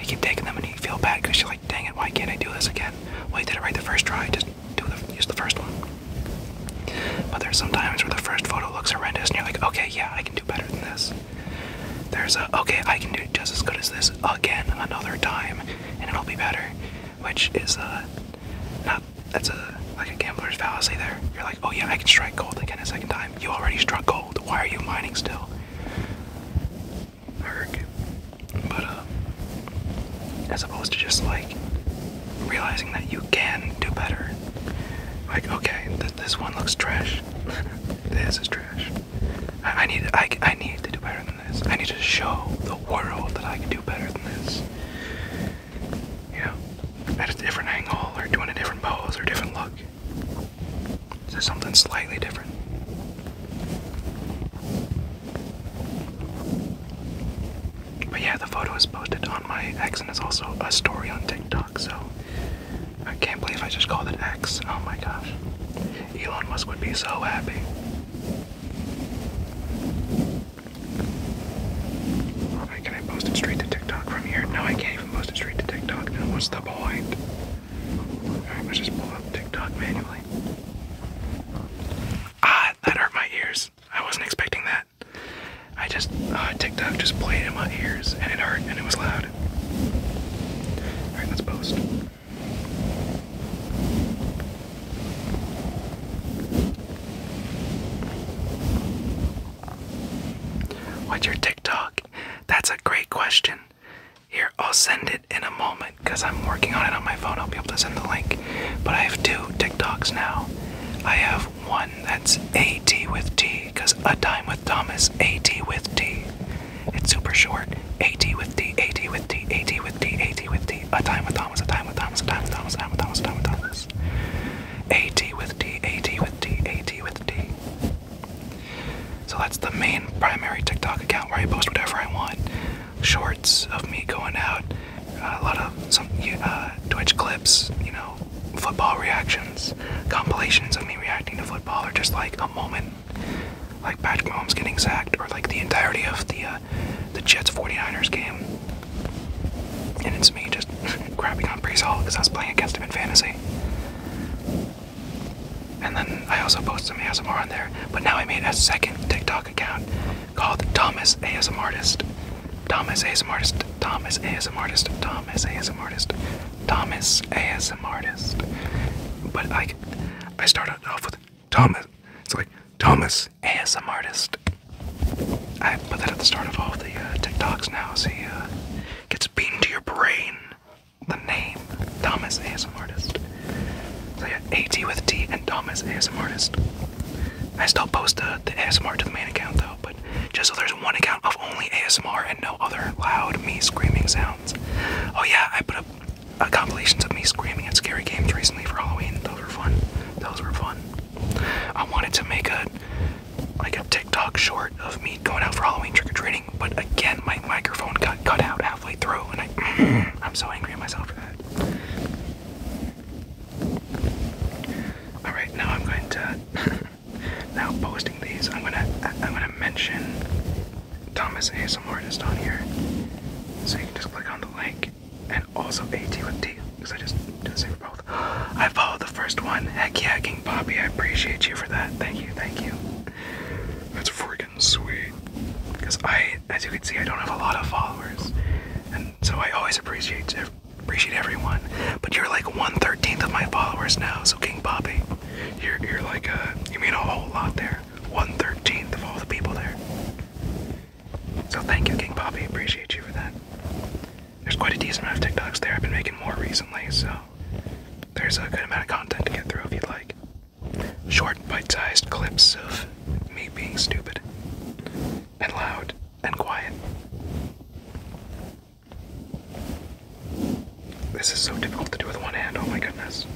You keep taking them and you feel bad because you're like, dang it, why can't I do this again? Well, you did it right the first try. Just do the use the first one. But there's some times where the first photo looks horrendous and you're like, okay, yeah, I can do better than this. There's a, okay, I can do just as good as this again another time and it'll be better. Which is uh, not, that's a, like a gambler's fallacy there. You're like, oh yeah, I can strike gold again a second time. You already struck gold. Why are you mining still? Erg. But, uh, as opposed to just like realizing that you can do better. Like, okay, this one looks trash. <laughs> this is trash. I, need I, I need to do better than this. I need to show the world that I can do better than this. You know, at a different angle or doing a different pose or different look. So something slightly different. But yeah, the photo is posted my X, and it's also a story on TikTok. So I can't believe I just called it X. Oh my gosh, Elon Musk would be so happy. Alright, can I post it straight to TikTok from here? No, I can't even post it straight to TikTok. what's the point? Alright, let's just pull up TikTok manually. Ah, that hurt my ears. I wasn't expecting that. I just, uh, oh, TikTok just played in my ears and it hurt and it was loud. Alright, let's post. What's your TikTok? That's a great question. Here, I'll send it in a moment because I'm working on it on my phone. I'll be able to send the link. But I have two TikToks now. I have one that's AT with T, because a time with Thomas, AT with T. It's super short. AT with T, AT with T, AT with T, AT with T. A time with Thomas, a time with Thomas, a time with Thomas, a time with Thomas, a time with Thomas. AT with T, AT with T, AT with T. So that's the main primary TikTok account where I post whatever I want. Shorts of me going out, a lot of some uh, Twitch clips, you know, football reactions, compilations of me reacting to football, are just like a moment, like Patrick Mahomes getting sacked, or like the entirety of the uh, the Jets 49ers game. And it's me just grabbing <laughs> on Brees Hall because I was playing against him in fantasy. And then I also posted some ASMR on there, but now I made a second TikTok account called Thomas ASM Artist. Thomas ASM artist. Thomas ASM artist. Thomas ASM artist. Thomas ASM artist. But like, I start off with Thomas. It's like Thomas ASM artist. I put that at the start of all the uh, TikToks now. See, uh, gets beaten to your brain. The name Thomas ASM artist. So yeah, AT with T and Thomas ASM artist. I still post the ASMR to the main account though, but. Just so there's one account of only ASMR and no other loud me screaming sounds. Oh yeah, I put up compilations of me screaming at scary games recently for Halloween. Those were fun. Those were fun. I wanted to make a like a TikTok short of me going out for Halloween trick or treating, but again my microphone got cut out halfway through, and I <clears throat> I'm so angry at myself for that. All right, now I'm going to. <laughs> now posting these, I'm gonna I'm gonna mention Thomas ASM on here, so you can just click on the link, and also AT with T, because I just do the same for both. <gasps> I follow the first one. Heck yeah, King Bobby, I appreciate you for that. Thank you, thank you. That's freaking sweet. Because I, as you can see, I don't have a lot of followers, and so I always appreciate appreciate everyone. But you're like one thirteenth of my followers now, so King Bobby, you're you're like a uh, you mean a whole lot there. One thirteenth of all the people there. So thank you, King Bobby. Appreciate you for that. There's quite a decent amount of TikToks there. I've been making more recently, so there's a good amount of content to get through if you'd like. Short, bite-sized clips of me being stupid and loud and quiet. This is so difficult to do with one hand, oh my goodness.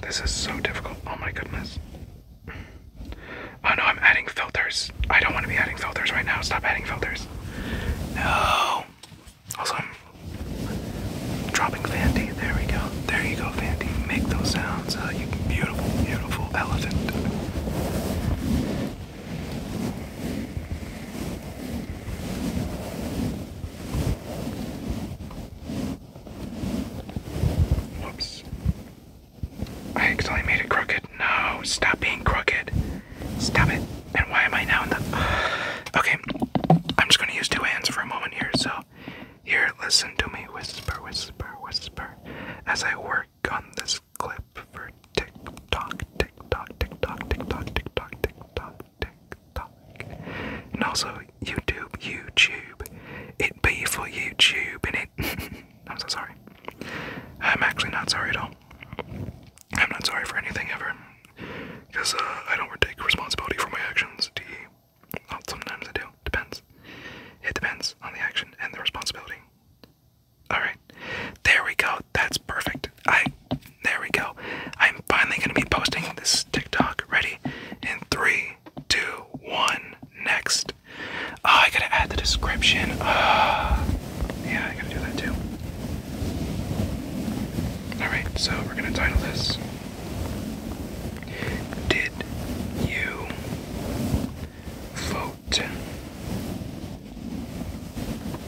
This is so difficult, oh my goodness. Oh no, I'm adding filters. I don't want to be adding filters right now. Stop adding filters. No. Also, Dropping Fandy. There we go. There you go, Fandy. Make those sounds. Uh, you beautiful, beautiful elephant. Whoops. I accidentally made it crooked. No, stop being crooked. Stop it. And why am I now in the. <sighs> Okay, I'm just gonna use two hands for a moment here, so here, listen to me whisper, whisper, whisper as I work on this clip for TikTok, TikTok, TikTok, TikTok, TikTok, TikTok, TikTok. And also YouTube, YouTube. It be for YouTube and it. <laughs> I'm so sorry. I'm actually not sorry at all. I'm not sorry for anything ever. Because uh, I don't take responsibility for my actions, D. Well, sometimes I do. Depends. It depends on the action and the responsibility. Alright. There we go. That's perfect. I there we go. I'm finally gonna be posting this TikTok. Ready? In three, two, one, next. Oh, I gotta add the description. Uh, yeah, I gotta do that too. Alright, so we're gonna title this did you vote?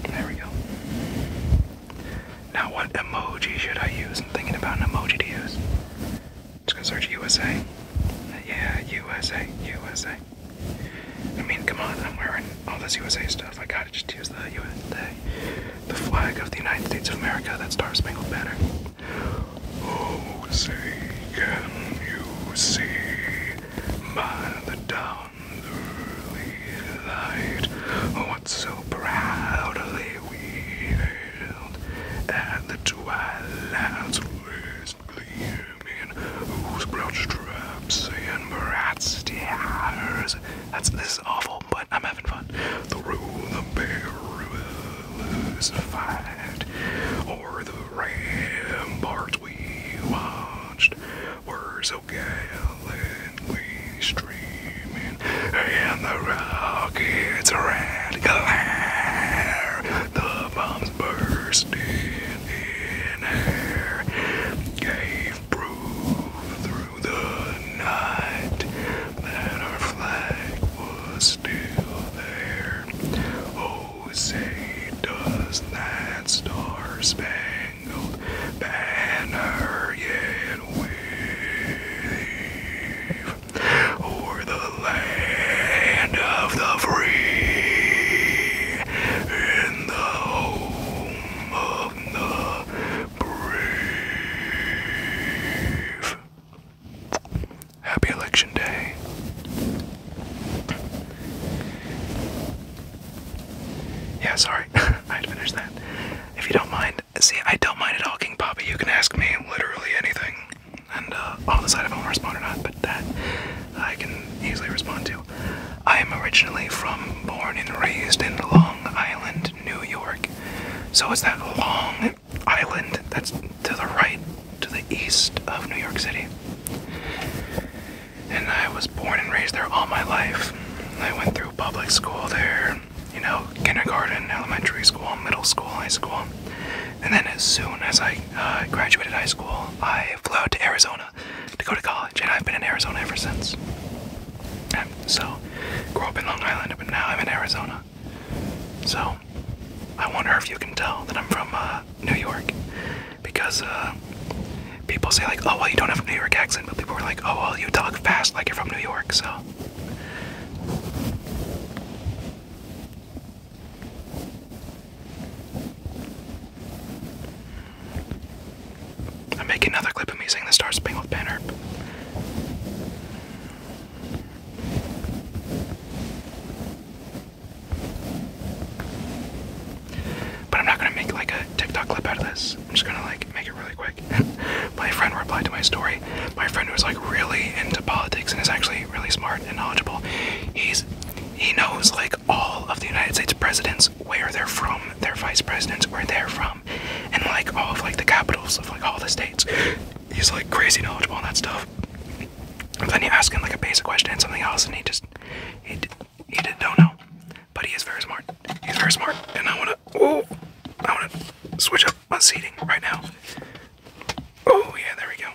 There we go. Now, what emoji should I use? I'm thinking about an emoji to use. Just gonna search USA. Yeah, USA, USA. I mean, come on, I'm wearing all this USA stuff. I gotta just use the USA the flag of the United States of America, that Star Spangled Banner. Oh, say, can you see by the dawn's early light oh, what so proudly we hailed at the twilight's last gleaming, Who's broad traps and brass stars? That's this awful. But I'm having fun. Through the perilous fight, or the ramparts we watched were so gallantly streaming, and the rockets red glare, the bombs bursting in air, gave proof through the night that our flag was still there. Oh, say, does that star spangled banner yet wave o'er the land of the free in the home of the brave? Happy Election Day. Yeah, sorry, <laughs> I'd finish that. If you don't mind, see, I don't mind at all, King Papa. You can ask me literally anything, and uh, I'll decide if I want to respond or not. But that I can easily respond to. I am originally from, born and raised in Long Island, New York. So it's that long island that's to the right, to the east of New York City. And I was born and raised there all my life. I went through public school there, you know, kindergarten, elementary school, middle school, high school. And then as soon as I uh, graduated high school, I flew out to Arizona to go to college, and I've been in Arizona ever since. so, grew up in Long Island, but now I'm in Arizona. So, I wonder if you can tell that I'm from uh, New York because uh, people say, like, oh, well, you don't have a New York accent, but people are like, oh, well, you talk fast like you're from New York, so. I'm making another clip of me saying the Star Spangled Banner. But I'm not gonna make like a TikTok clip out of this. I'm just gonna like make it really quick. <laughs> my friend replied to my story. My friend who's like really into politics and is actually really smart and knowledgeable. He's he knows like all of the United States presidents, where they're from, their vice presidents, where they're from, and like all of like the capitals of like all the states he's like crazy knowledgeable on that stuff. But then he ask him like a basic question and something else, and he just he he don't know. But he is very smart. He's very smart, and I wanna oh I wanna switch up my seating right now. Oh yeah, there we go.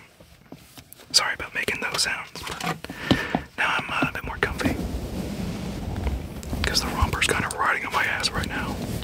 Sorry about making those sounds, but now I'm uh, a bit more comfy because the romper's kind of riding on my ass right now.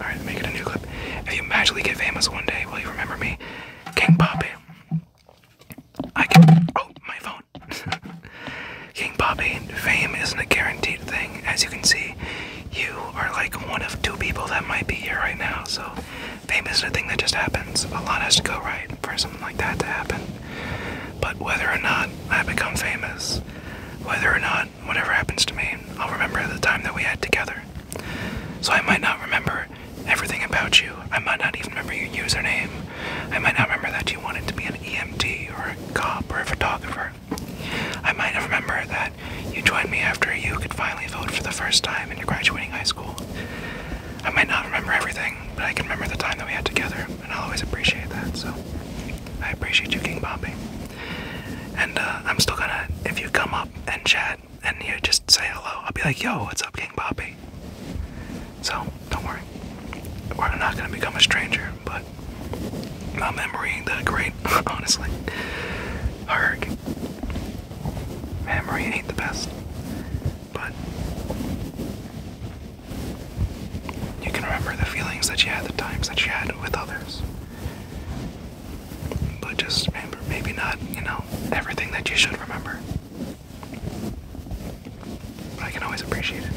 Alright, let me a new clip. If you magically get famous one day, will you remember me? King Poppy. I can. Oh, my phone. <laughs> King Poppy, fame isn't a guaranteed thing. As you can see, you are like one of two people that might be here right now. So, fame isn't a thing that just happens. A lot has to go right for something like that to happen. But whether or not I become famous, whether or not whatever happens to me, I'll remember the time that we had together. So I might not remember everything about you. I might not even remember your username. I might not remember that you wanted to be an EMT or a cop or a photographer. I might not remember that you joined me after you could finally vote for the first time in your graduating high school. I might not remember everything, but I can remember the time that we had together, and I'll always appreciate that. So I appreciate you, King Bobby. And uh, I'm still gonna, if you come up and chat, and you just say hello. I'll be like, yo, what's up, King Poppy? So, don't worry. We're not gonna become a stranger, but my am the great, <laughs> honestly. Herg. Memory ain't the best, but you can remember the feelings that you had, the times that you had with others. But just maybe not, you know, everything that you should remember. But I can always appreciate it.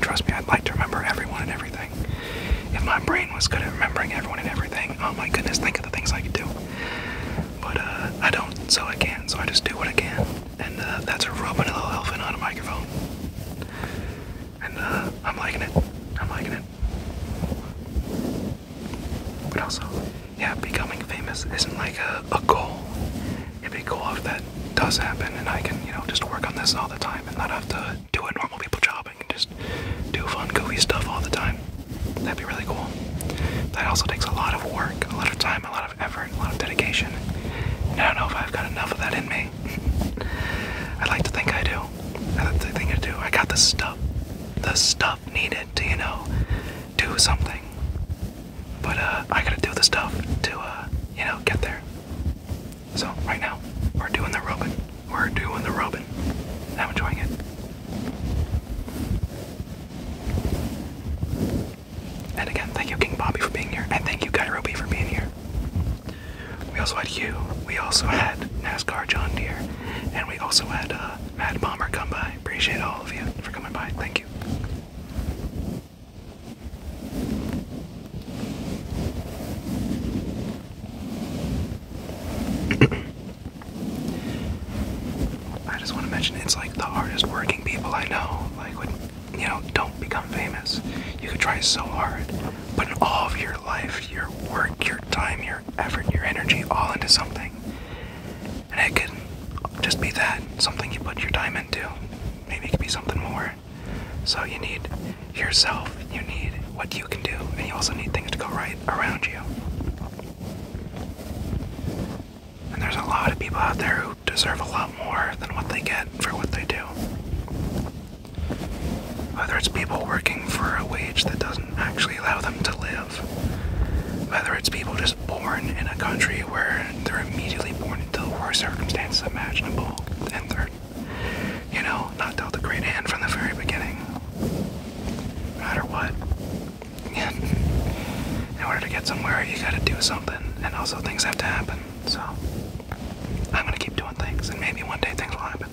trust me, I'd like to remember everyone and everything. If my brain was good at remembering everyone and everything, oh my goodness, think of the things I could do. But uh, I don't, so I can't, so I just do what I can. And uh, that's a rubbing a little elephant on a microphone and uh, I'm liking it. I'm liking it. But also, yeah, becoming famous isn't like a, goal. It'd be cool if that does happen, and I can, you know, just work on this all the time and not have to do a normal people job. and just do fun, goofy stuff all the time. That'd be really cool. That also takes a lot of work, a lot of time, a lot of effort, a lot of dedication. I don't know if I've got enough of that in me. <laughs> I like to think I do. I think I do. I got the stuff, the stuff needed to, you know, do something. But uh, I gotta do the stuff to, uh, you know, get there. So right now, we're doing the robin. We're doing the robin. I'm enjoying it. And again, thank you King Bobby for being here, and thank you Guy Ruby for being here. We also had you. We also had NASCAR John Deere, and we also had uh, Mad Bomber come by. Appreciate all of you for coming by. Thank you. <coughs> I just want to mention it's like the hardest working people I know. Like, you know, don't become famous. You could try so hard, but all of your life, you're your time, your effort, your energy all into something. And it could just be that something you put your time into. Maybe it could be something more. So you need yourself, you need what you can do, and you also need things to go right around you. And there's a lot of people out there who deserve a lot more than what they get for what they do. Whether it's people working for a wage that doesn't actually allow them to live, whether it's people just born in a country where they're immediately born into the circumstances imaginable, and they you know, not dealt a great hand from the very beginning. No matter what. <laughs> in order to get somewhere, you gotta do something, and also things have to happen, so. I'm gonna keep doing things, and maybe one day things will happen.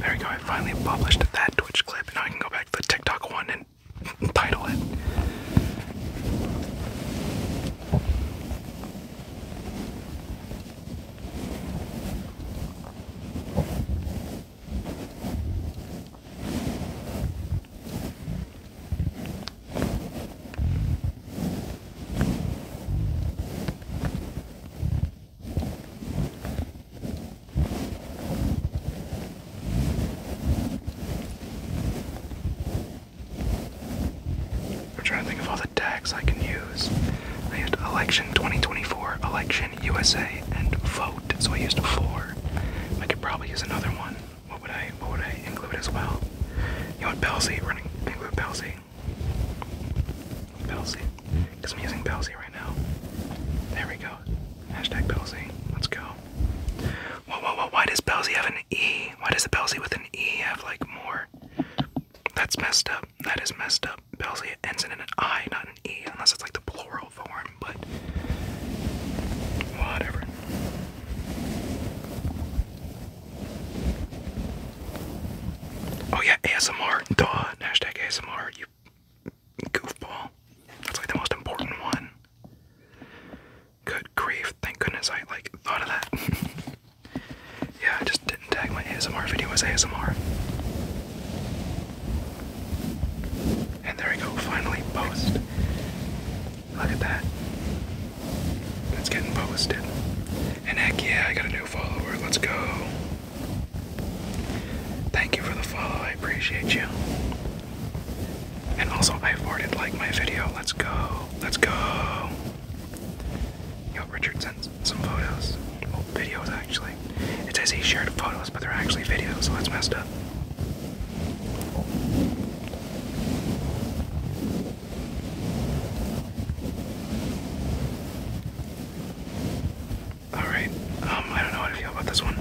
There we go, I finally published that Twitch clip. and I can go back to the TikTok one and <laughs> title it. I'm trying to think of all the tags I can use. I had election 2024, election. USA and vote. So I used four. I could probably use another one. What would I what would I include as well? You want Belsey? we include Belsey. Belsey. I'm using Belsey right now. There we go. Hashtag Belsey. Let's go. Whoa, whoa, whoa. Why does Belsey have an E? Why does the Belsey with an E have like more? That's messed up. That is messed up. Belsey ends in an I, not an an E unless it's like the plural form, but whatever. Oh yeah, ASMR, duh, hashtag ASMR, you goofball. That's like the most important one. Good grief, thank goodness I like thought of that. <laughs> yeah, I just didn't tag my ASMR video as ASMR. And there we go, finally post. Look at that. It's getting posted. And heck yeah, I got a new follower. Let's go. Thank you for the follow. I appreciate you. And also, I farted like my video. Let's go. Let's go. Yo, Richard sent some photos. Well, videos actually. It says he shared photos, but they're actually videos, so that's messed up. Alright, um, I don't know how to feel about this one.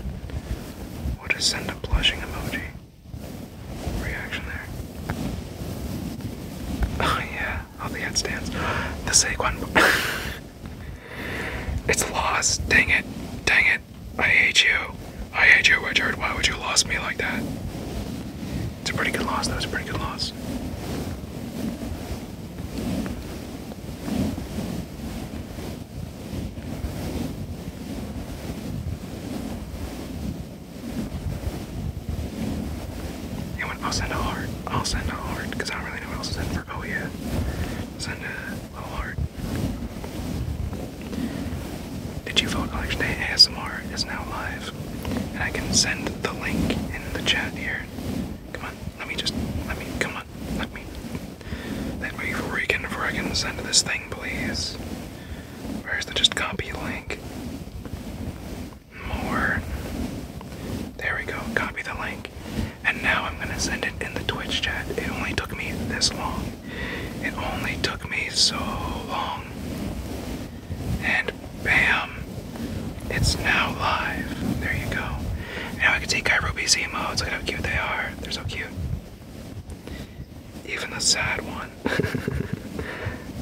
We'll just send a blushing emoji. Reaction there. <laughs> Oh yeah, oh the headstands. The Saquon <laughs> It's lost, dang it, dang it. I hate you. I hate you, Richard. Why would you lose me like that? It's a pretty good loss. That was a pretty good loss. Anyone? I'll send a heart. I'll send a heart because I don't really know what else to send for. Oh yeah, send a Oh, Little heart. Did you vote election day? ASMR is now live. And I can send the link in the chat here. Come on, let me just, let me, come on, let me. Let me freaking freaking send this thing, please. Where's the just copy link? More. There we go, copy the link and now I'm gonna send it in the Twitch chat. It only took me this long. It only took me so long. And bam! It's now live. There you go. Now I can see Kairubi's emotes. Look at how cute they are. They're so cute. Even the sad one. <laughs>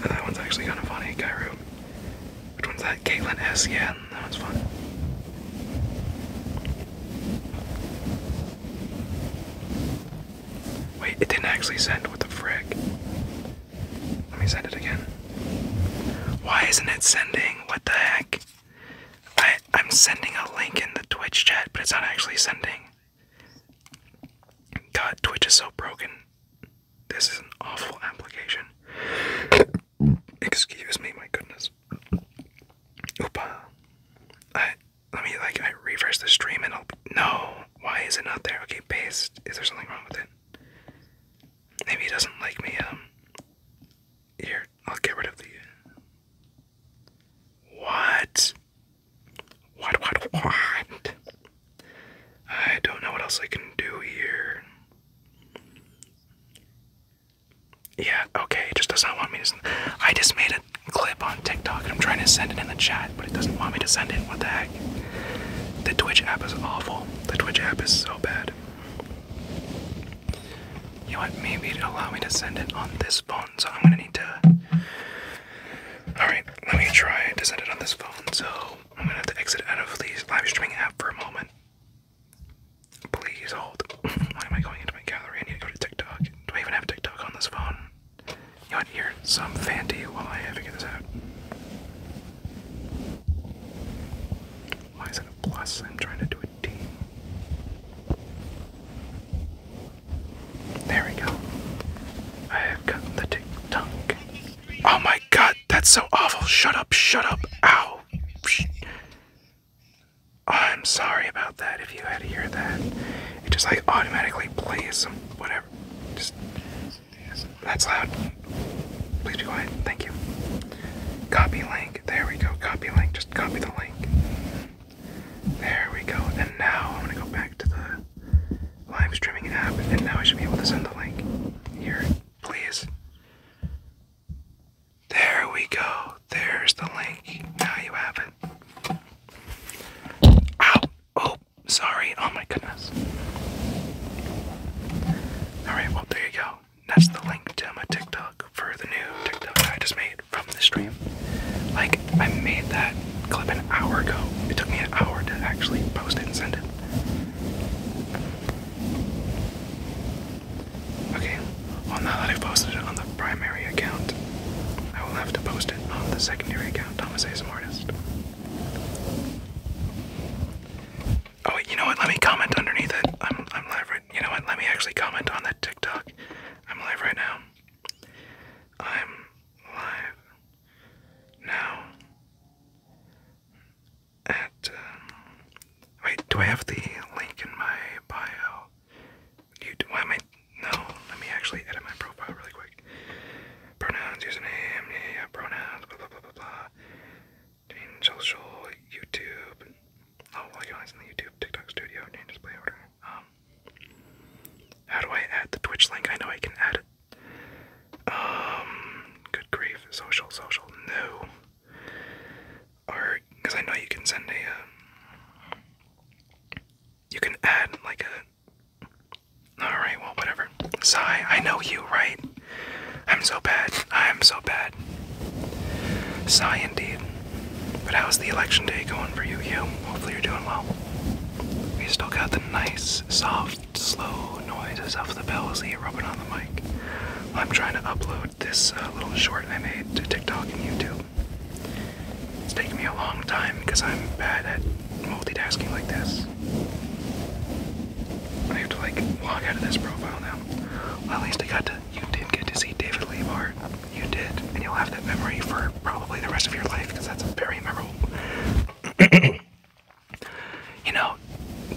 that one's actually kind of funny, Kairu. Which one's that? Caitlin S. Yeah, that one's fun. Wait, it didn't actually send. What the frick? Let me send it again. Why isn't it sending? What the heck? I I'm sending a link in the Twitch chat, but it's not actually sending. God, Twitch is so broken. This is an awful application. <coughs> Excuse me, my goodness. Oopa let me like I refresh the stream and I'll no. Why is it not there? Okay, paste. Is there something wrong with it? Maybe he doesn't like me. Um, here I'll get rid of the. What? What? What? What? I don't know what else I can do here. Yeah, okay, it just does not want me to. I just made a clip on TikTok and I'm trying to send it in the chat, but it doesn't want me to send it. What the heck? The Twitch app is awful. The Twitch app is so bad. You want what? Maybe it allow me to send it on this phone, so I'm gonna need to. Alright, let me try to send it on this phone, so I'm gonna have to exit out of the live streaming app for a moment. Please hold. Why am I going into my gallery? I need to go to TikTok. Do I even have TikTok on this phone? You want to hear some fancy while I figure this out? Why is it a plus? I'm trying to do a D. There we go. I have gotten the TikTok. Oh my god, that's so awful. Shut up, shut up. Ow. Oh, I'm sorry about that if you had to hear that. It just like automatically plays some whatever. Just that's loud. Please be quiet. Thank you. Copy link. There we go. Copy link. Just copy the link. There we go. And now I'm gonna go back to the live streaming app, and now I should be able to send the link. Here, please. There we go. There's the link. Now you have it. Ow! Oh, sorry. Oh my goodness. Alright, well, there you go. That's the link to my TikTok for the new TikTok I just made from the stream. Like, I made that clip an hour ago. It took me an hour to actually post it and send it. Okay, well, now that I've posted it on the primary account, I will have to post it on the secondary account, Thomas A. Smartest. Oh wait, you know what? Let me comment underneath it. I'm I'm live right. You know what? Let me actually comment on that TikTok. I'm live right now. I'm live now. At uh, wait, do I have the link in my bio? why am I? No, let me actually edit my profile really quick. Pronouns, username, yeah, pronouns, blah, blah, blah, blah, blah. Change social, YouTube. Oh, well, you only the YouTube, TikTok studio, change display order. Um, how do I add the Twitch link? I know I can add it. Um, good grief, social, social, no. Or, because I know you can send a, uh, you can add like a. All right, well, whatever. Sigh, I know you, right? I'm so bad. I'm so bad. Sigh, indeed. But how's the election day going for you, you? Hopefully you're doing well. We still got the nice, soft, slow noises of the bells that you rubbing on the mic. I'm trying to upload this uh, little short I made to TikTok and YouTube. It's taking me a long time because I'm bad at multitasking like this. I have to like walk out of this profile now. at least I got to. You did get to see David Leibart. You did, and you'll have that memory for probably the rest of your life because that's very memorable. <coughs> you know,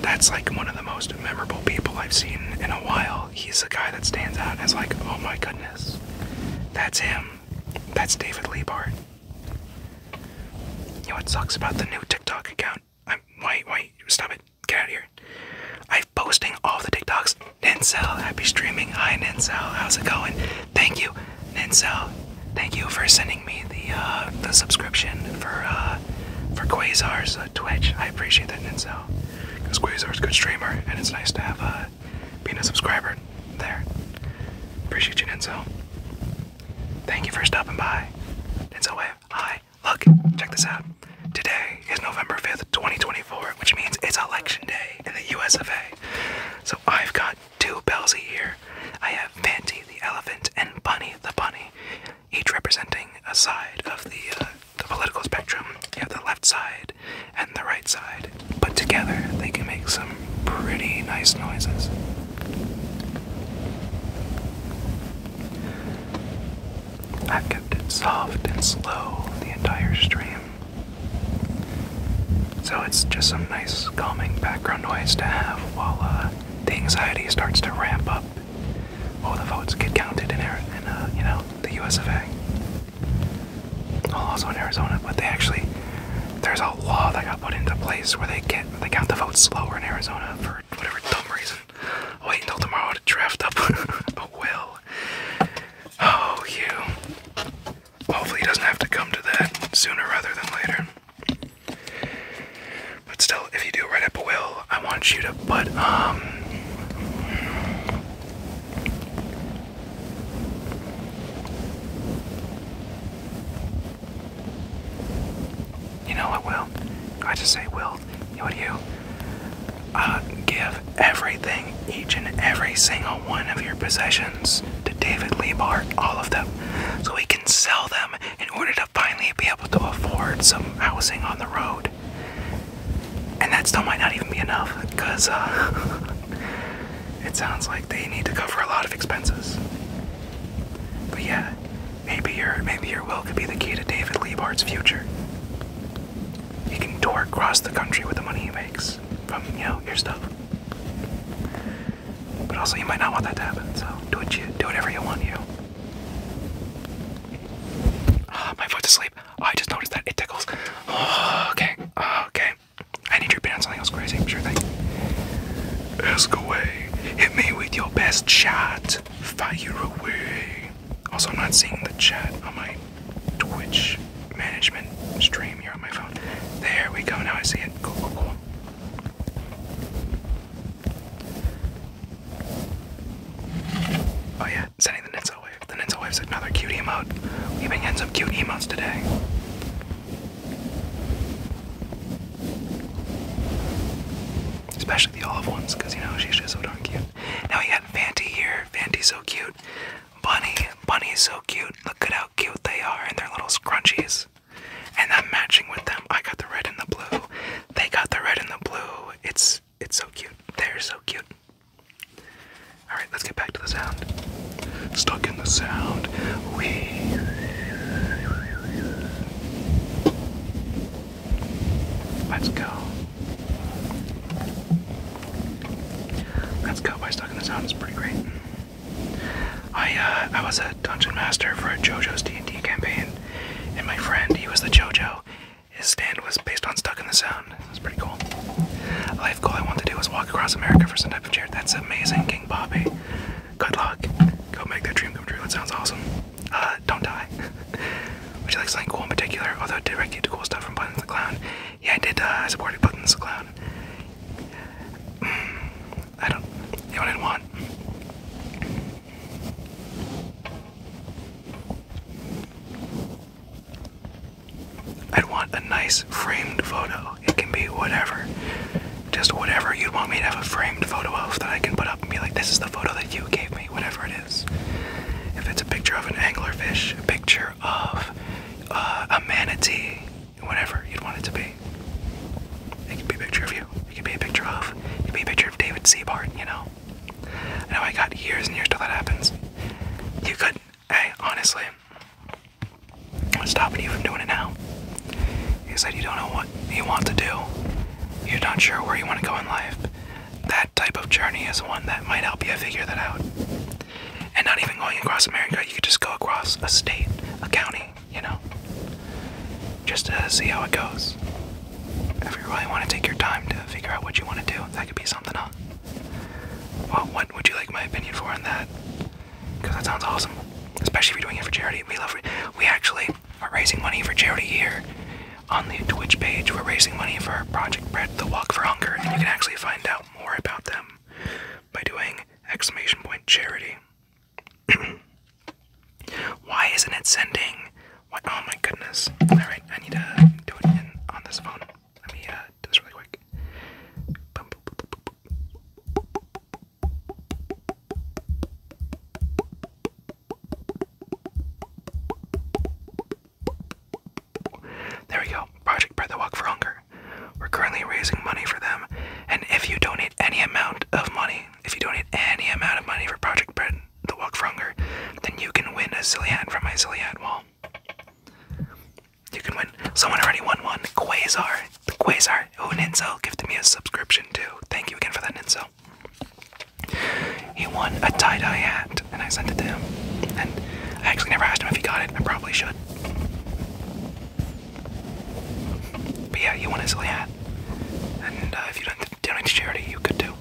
that's like one of the most memorable people I've seen in a while. He's the guy that stands out as like, oh my goodness. That's him. That's David Liebart. You know what sucks about the new TikTok account? I'm wait, wait, stop it. Get out of here. I'm posting all the TikToks. Nincel, happy streaming. Hi Nincel, how's it going? Thank you, Nincel. Thank you for sending me the uh, the subscription for uh, for Quasar's uh, Twitch. I appreciate that, Nincel. Because Quasar's good streamer, and it's nice to have a being a subscriber there. Appreciate you, Denzel. Thank you for stopping by. Denzel Wave, hi. Look, check this out. Today is November 5th, 2024, which means it's election day in the US of A. So I've got two Bellsy here. I have Fanty the elephant and Bunny the bunny, each representing a side of the, uh, the political spectrum. You have the left side and the right side, but together they can make some pretty nice noises. I've kept it soft and slow the entire stream. So it's just some nice calming background noise to have while uh, the anxiety starts to ramp up. While the votes get counted in, in uh, you know, the US well, also in Arizona, but they actually there's a law that got put into place where they get they count the votes slower in Arizona for whatever dumb reason. I'll wait until tomorrow to draft up <laughs> a will. Oh, you. Hopefully, he doesn't have to come to that sooner rather than later. But still, if you do write up a will, I want you to put um you know what, Will? I just say, Will, you know you? Uh, give everything, each and every single one of your possessions to David LeBar, all of them, so he can sell them in order to finally be able to afford some housing on the road. And that still might not even be enough because uh, <laughs> it sounds like they need to cover a lot of expenses. But yeah, maybe your maybe your will could be the key to David Liebart's future. He can tour across the country with the money he makes from you know your stuff. But also, you might not want that to happen. So do what you do whatever you want you. Ah, my foot's asleep. Oh, I just noticed that it tickles. Oh, okay, oh, okay. I need your pants. something else crazy. I'm sure thing. Ask away. Hit me with your best shot. Fire away. Also, I'm not seeing the chat on my Twitch management stream here on my phone. There we go. Now I see it. Cool, cool, cool. Oh yeah, sending the nets Ninja Wave. The Ninja Wave's another cute emote. We've been getting some cute emotes today. Especially the olive ones, because you know she's just so darn cute. Now we got Fanti here. Fanti's so cute. Bunny, Bunny's so cute. Look at how cute they are and their little scrunchies. And I'm matching with them. I got the red and the blue. They got the red and the blue. It's it's so cute. They're so cute. Alright, let's get back to the sound. Stuck in the sound. We. Let's go. Let's go by Stuck in the Sound. is pretty great. I uh, I was a dungeon master for a JoJo's D&D campaign, and my friend, he was the JoJo. His stand was based on Stuck in the Sound. That's pretty cool. Life goal I want to do is walk across America for some type of charity. That's amazing, King Bobby. Good luck. Go make that dream come true. That sounds awesome. Uh, don't die. <laughs> Would you like something cool in particular? Although, did I get cool stuff from Buttons the Clown? Yeah, I did. Uh, I supported Buttons the Clown. I don't. You know what I'd want a nice framed photo. It can be whatever. Just whatever you'd want me to have a framed photo of that I can put up and be like, this is the photo that you gave me, whatever it is. If it's a picture of an anglerfish, a picture of uh, a manatee, whatever you'd want it to be. It could be a picture of you. It could be a picture of. It could be a picture of David Seabart, you know? I know I got years and years till that happens. You could, hey, honestly, I'm stopping you from doing it now? You said, You don't know what you want to do. You're not sure where you want to go in life. That type of journey is one that might help you figure that out. And not even going across America, you could just go across a state, a county, you know? Just to see how it goes. If you really want to take your time to figure out what you want to do, that could be something, what would you like my opinion for on that? Because that sounds awesome, especially if you're doing it for charity. We love. it. We actually are raising money for charity here on the Twitch page. We're raising money for Project Bread, the Walk for Hunger, and you can actually find out more about them by doing exclamation point charity. <clears throat> Why isn't it sending? What? Oh my goodness! All right, I need to do it on this phone. Let me uh, do this really quick. There we go. Project Bread the Walk for Hunger. We're currently raising money for them, and if you donate any amount of money, if you donate any amount of money for Project Bread the Walk for Hunger, then you can win a Zillion from my Zillion wall. You can win. Someone already won one. Quasar. The Quasar. Oh, Ninzel gifted me a subscription too. Thank you again for that, Ninzel. He won a tie-dye hat, and I sent it to him. And I actually never asked him if he got it. I probably should. But yeah, you won a silly hat. And uh, if you don't donate to charity, you could do.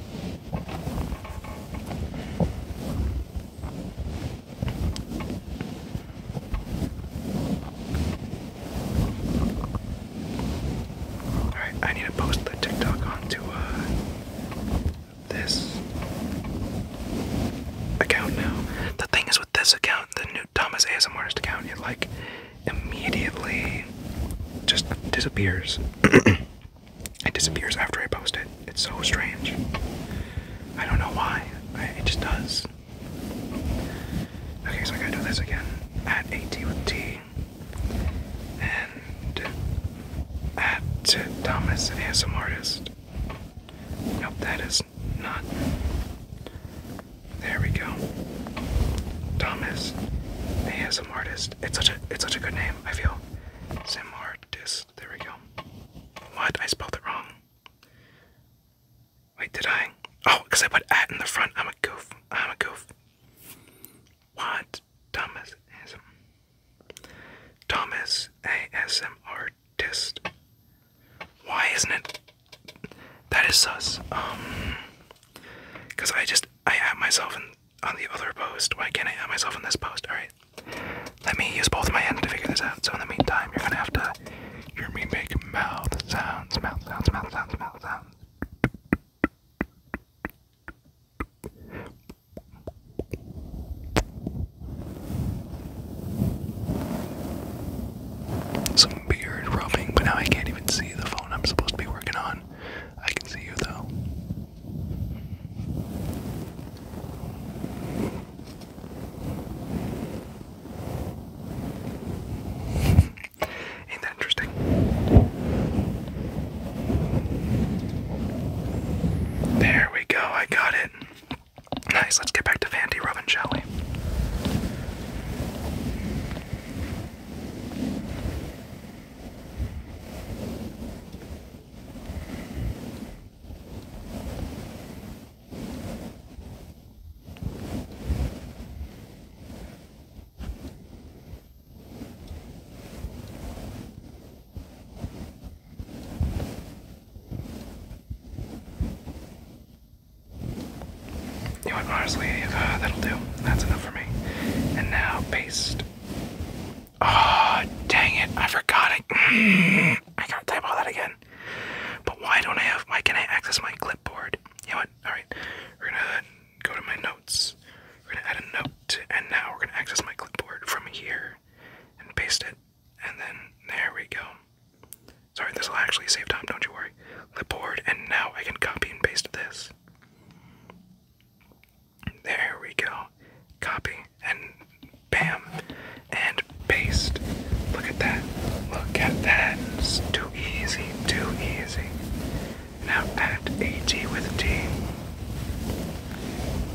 Alright, I need to post the TikTok onto uh, this account now. The thing is with this account, the new Thomas ASMRS account, it like immediately just disappears. <clears throat> it disappears after I post it. It's so strange. I don't know why. it just does. Okay, so I gotta do this again. At AT with T. And at Thomas an ASM artist. Nope, that is not. There we go. Thomas ASM artist. It's such a it's such a good name, I feel. Sim artist. There we go. What? I spelled it wrong. Wait, did I? Oh, because I put at in the front. I'm a goof. I'm a goof. What? Thomas ASM. Why isn't it? That is sus. Um, because I just I at myself in on the other post. Why can't I at myself in this post? All right. Let me use both of my hands to figure this out. So in the meantime, you're gonna have to hear me make mouth sounds, mouth sounds, mouth sounds, mouth sounds. Some beard rubbing, but now I can't even see the phone I'm supposed to be working on. I can see you though. Ain't that interesting? There we go, I got it. Nice, let's get back to Vandy Robin shall we? You know what, honestly, uh, that'll do. That's enough for me. And now, paste. Oh, dang it, I forgot it. <clears throat> I gotta type all that again. But why don't I have? Why can't I access my clipboard? You know what? All right, we're gonna go to my notes. We're gonna add a note, and now we're gonna access my clipboard from here, and paste it, and then there we go. Sorry, this will actually save time. Don't you worry. Clipboard, and now I can copy and paste this. There we go. Copy, and Bam. And paste. Look at that. Look at that. It's too easy. Too easy. Now at AG with T.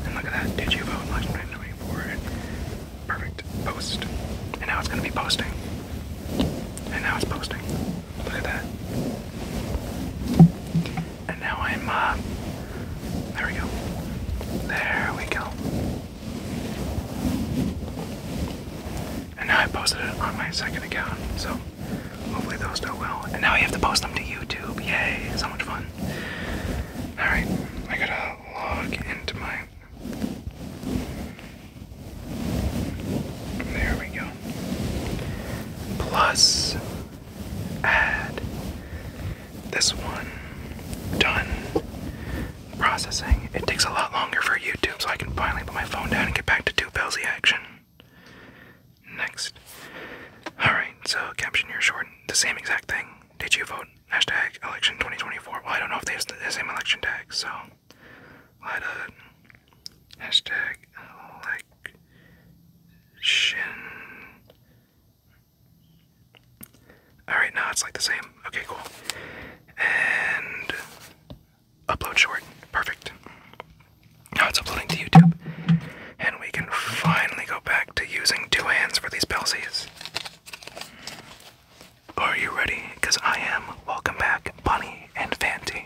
And look at that. Did you vote last night? Perfect. Post. And now it's going to be posting. And now it's posting. Look at that. And now I'm, uh, there we go. There we go. And now I posted it on my second account, so hopefully those do well. And now I have to post them to YouTube. Yay! So much fun. Alright, I gotta log into my. There we go. Plus, add this one. Done processing. It takes a lot longer for YouTube, so I can finally put my phone down and get back to two bellsy action. Next. Alright, so caption your short. The same exact thing. Did you vote? Hashtag election 2024. Well, I don't know if they have the same election tag, so let uh hashtag election Alright, now it's like the same. Okay, cool. And upload short. Perfect. Now it's uploading to YouTube. And we can finally go back to using two hands for these Pelsies. Are you ready? Because I am. Welcome back, Bunny and Fanti.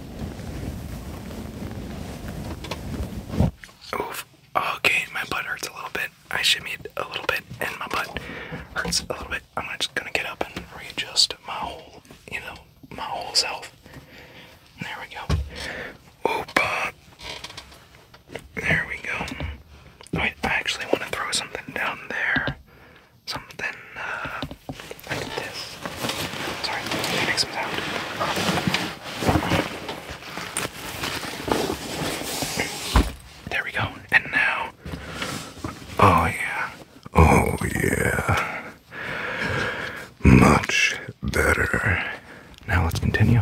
Oof. Oh, okay, my butt hurts a little bit. I shimmied a little bit, and my butt hurts a little bit. I'm just gonna get up and readjust my whole, you know, my whole self. There we go. Oop. Uh, there we go. I actually want to throw something down there. Something, uh, like this. Sorry, that makes There we go. And now, oh yeah, oh yeah, much better. Now let's continue.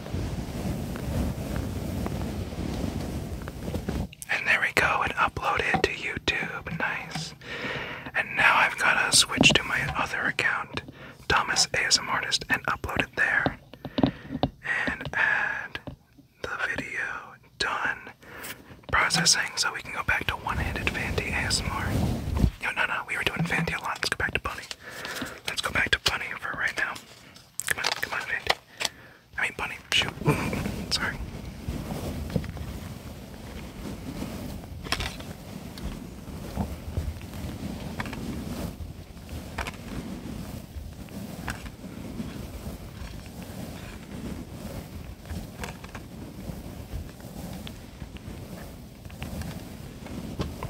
And there we go, and uploaded to YouTube. Nice. And now I've gotta switch to my other account, Thomas ASM Artist, and upload it there. And add the video done processing so we can go back to one-handed Fanti ASMR. No, no, no, we were doing Fanti a lot. Let's go back to Bunny. Let's go back to Bunny for right now. Come on, come on, Randy. I mean, bunny, shoot. <laughs> Sorry.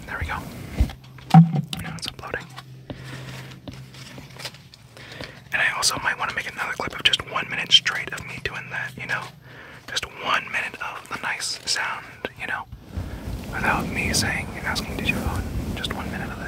There we go. Now it's uploading. And I also might want to make another clip of just one minute straight of me doing that, you know? Just one minute of the nice sound, you know? Without me saying and asking, did you vote? Just one minute of this.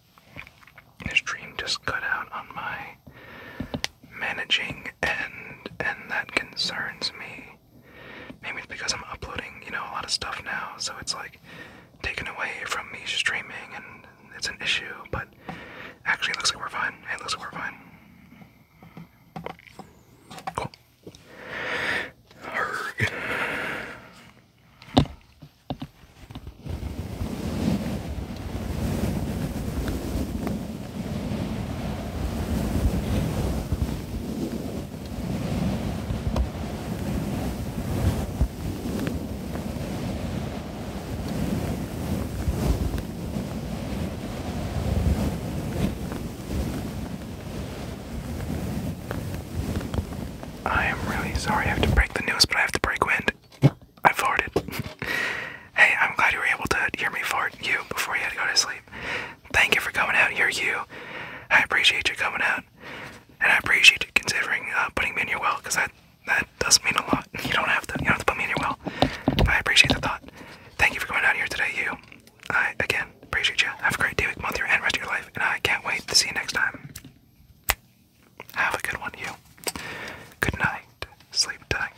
This stream just cut out on my managing and and that concerns me. Maybe it's because I'm uploading, you know, a lot of stuff now, so it's like taken away from me streaming, and it's an issue. But actually, it looks like we're fine. It looks like we're fine. Cool. Arrgh. I am really sorry I have to break the news, but I have to break wind. I farted. <laughs> hey, I'm glad you were able to hear me fart you before you had to go to sleep. Thank you for coming out here, you. I appreciate you coming out, and I appreciate you considering uh, putting me in your will, because that that does not mean a lot. You don't have to. You don't have to put me in your well. I appreciate the thought. Thank you for coming out here today, you. I again appreciate you. Have a great day, week, month, year, and rest of your life, and I can't wait to see you next time. Have a good one, you. Good night. Sleep tight.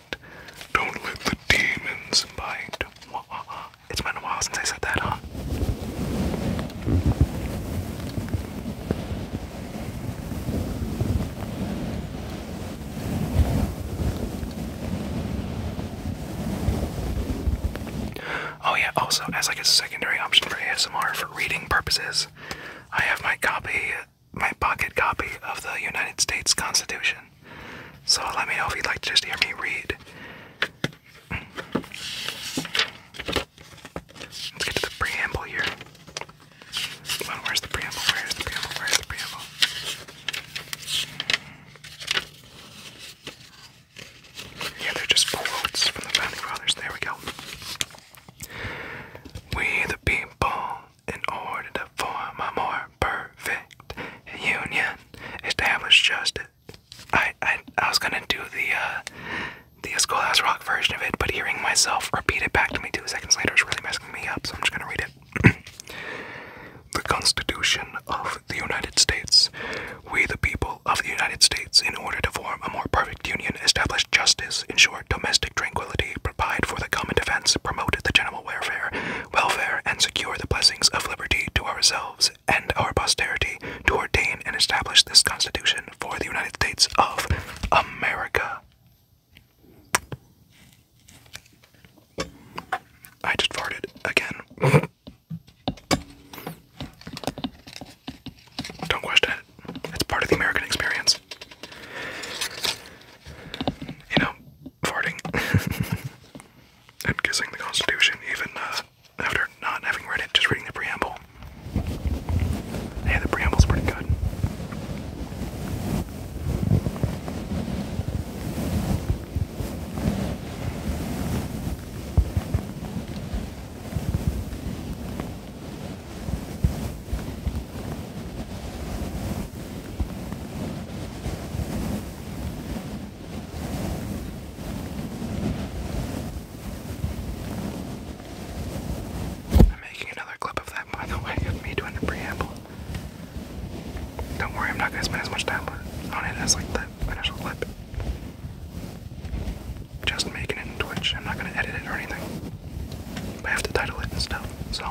Don't let the demons bite. It's been a while since I said that, huh? Oh, yeah, also, as like a secondary option for ASMR for reading purposes, I have my copy my pocket copy of the United States Constitution. So let me know if you'd like to just hear me read. Let's get to the preamble here. where's the preamble? Where's the preamble? Where's the preamble? Yeah, they're just quotes from the Founding Fathers. There we go. We the people in order to form a more perfect union, establish justice. I, I, I was gonna do the, uh, the Schoolhouse Rock version of it, but hearing myself repeat it back to me two seconds later is really messing me up, so I'm just gonna read it. <clears throat> the Constitution of the United States. We, the people of the United States, in order to form a more perfect union, establish justice, ensure domestic tranquility, provide for the common defense, promote the general welfare, welfare, and secure the blessings of liberty to ourselves and our posterity, to ordain and establish this Constitution for the United States of America. I just farted again. <laughs> Don't question it. It's part of the American experience. You know, farting <laughs> and kissing the Constitution, even uh, after not having read it, just reading the preamble. Yeah, the preamble's pretty good. I'm making another clip of that, by the way, of me doing the preamble. Don't worry, I'm not gonna spend as much time on it on it as like the initial clip. Just making it in Twitch. I'm not gonna edit it or anything. I have to title it and stuff, so.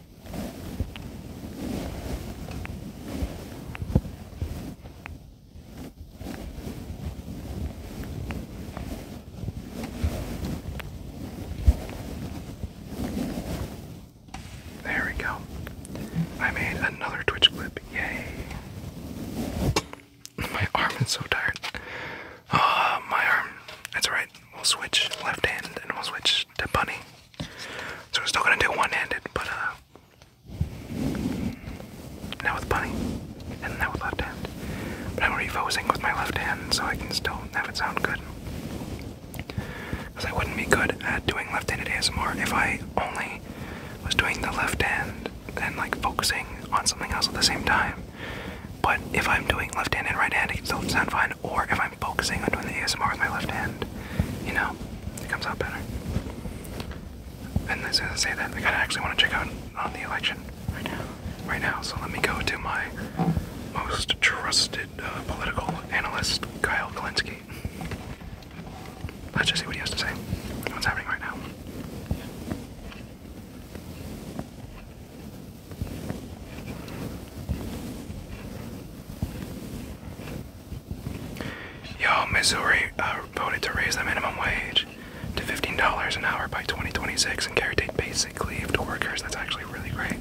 There we go. I made another Twitch clip. Yay. My arm is so tired. Uh, my arm. That's right. We'll switch left hand and we'll switch was bunny. So we're still gonna do one-handed, but uh, now with bunny, and now with left hand. But I'm refocusing with my left hand so I can still have it sound good. Because I wouldn't be good at doing left-handed ASMR if I only was doing the left hand and like focusing on something else at the same time. But if I'm doing left-handed and right-handed, it can still sound fine. Or if I'm I'm focusing on doing the ASMR with my left hand, you know, it comes out better. And as soon as I say that, I kind of actually want to check out on the election right now. Right now, so let me go to my most trusted uh, political analyst, Kyle Kalinske. Let's just see what he has to say. What's happening right now? Yo, Missouri uh, voted to raise the minimum wage to $15 an hour by 2026 and guaranteed basic leave to workers. That's actually really great.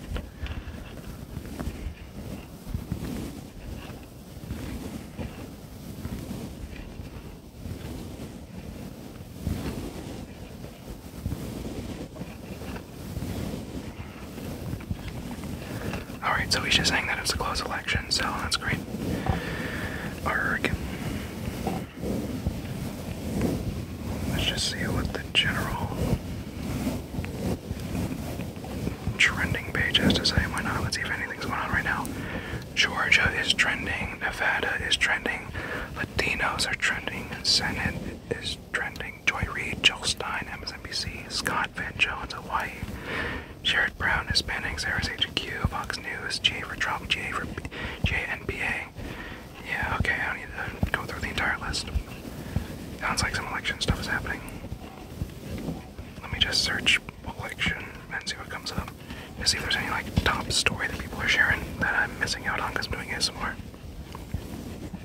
Alright, so he's just saying that it's a close election, so that's great. Erg. Let's just see what the general trending page to say. Why not? Let's see if anything's going on right now. Georgia is trending, Nevada is trending, Latinos are trending, Senate is Trending, Joy Reid, Joel Stein, MSNBC, Scott Van Jones, Hawaii, Jared Brown, Hispanics, RSHQ, Fox News, J for Trump, J for JNPA. Yeah, okay, I don't need to go through the entire list. Sounds like some election stuff is happening. Let me just search election and see what comes up. To see if there's any like top story that people are sharing that I'm missing out on because I'm doing it somewhere.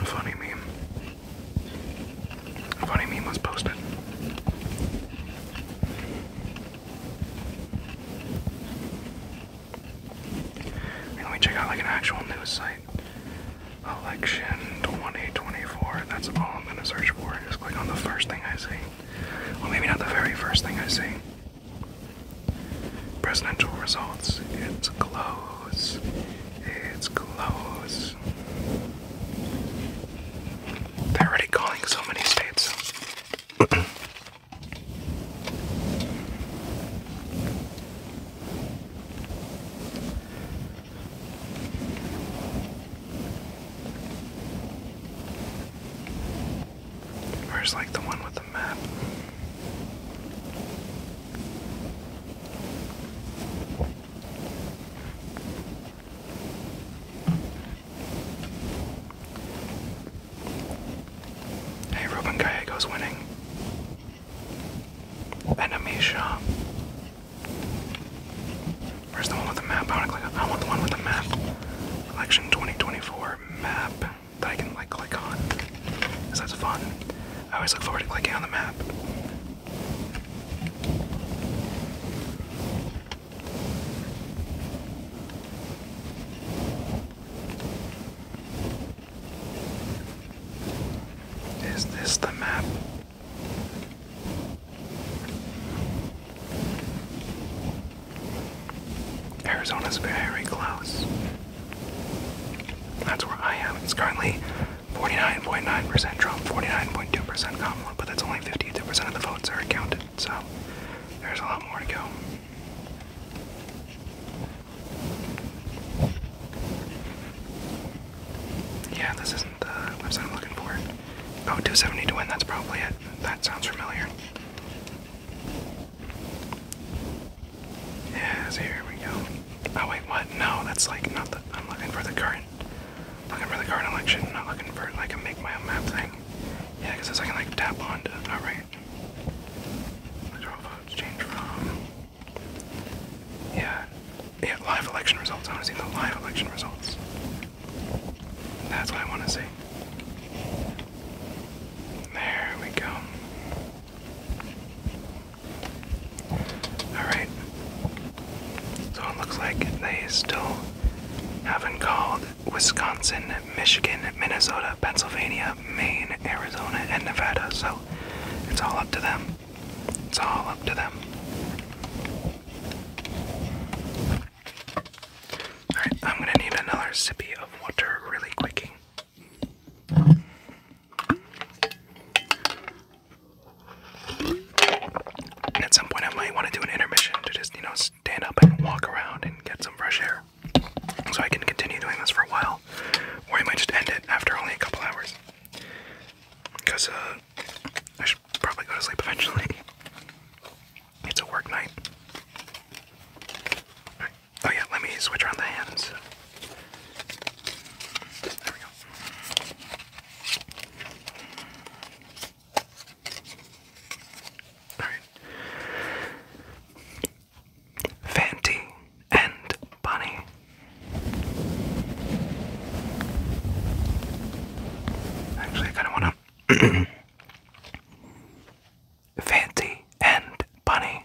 A funny meme. funny meme was posted. And let me check out like an actual news site. Election 2024. That's all I'm gonna search for. Just click on the first thing I see. Well, maybe not the very first thing I see. Presidential results. It's close. It's close. They're already calling so many states. Where's like the one with the map? Hey, Ruben Gallego's winning. Enemy Where's the one with the map? I want the one with the map. Election 2024 map that I can like click on. Cause that's fun. I always look forward to clicking on the map. Is this the map? Arizona's very close. That's where I am. It's currently 49.9% Trump, 49.2% Kamala, but that's only 52% of the votes are counted, so there's a lot more to go. Yeah, this isn't the website I'm looking for. Oh, 270 to win, that's probably it. That sounds familiar. Yes, here we go. Oh wait, what? No, that's like not the. I'm looking for the current. Looking for the current election. Not looking for like a make my own map thing. Yeah, because I can like tap onto. All right. Electoral votes change from. Yeah, yeah. Live election results. I want to see the live election results. That's what I want to see. There we go. Alright. So it looks like they still haven't called Wisconsin, Michigan, Minnesota, Pennsylvania, Maine, Arizona, and Nevada. So it's all up to them. It's all up to them. Alright, I'm gonna need another sippy of water really quick at some point, I might want to do an intermission to just, you know, stand up and walk around and get some fresh air. So I can continue doing this for a while. Or I might just end it after only a couple hours. Because, uh, I should probably go to sleep eventually. <laughs> It's a work night. Oh yeah, let me switch around the hands. There we go. Alright. Fanty and Bunny. Actually I kinda wanna <clears throat> Fancy and Bunny.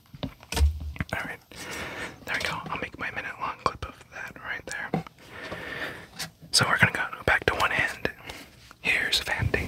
Alright, there we go. I'll make my minute long clip of that right there. So we're gonna go back to one end. Here's Fandi.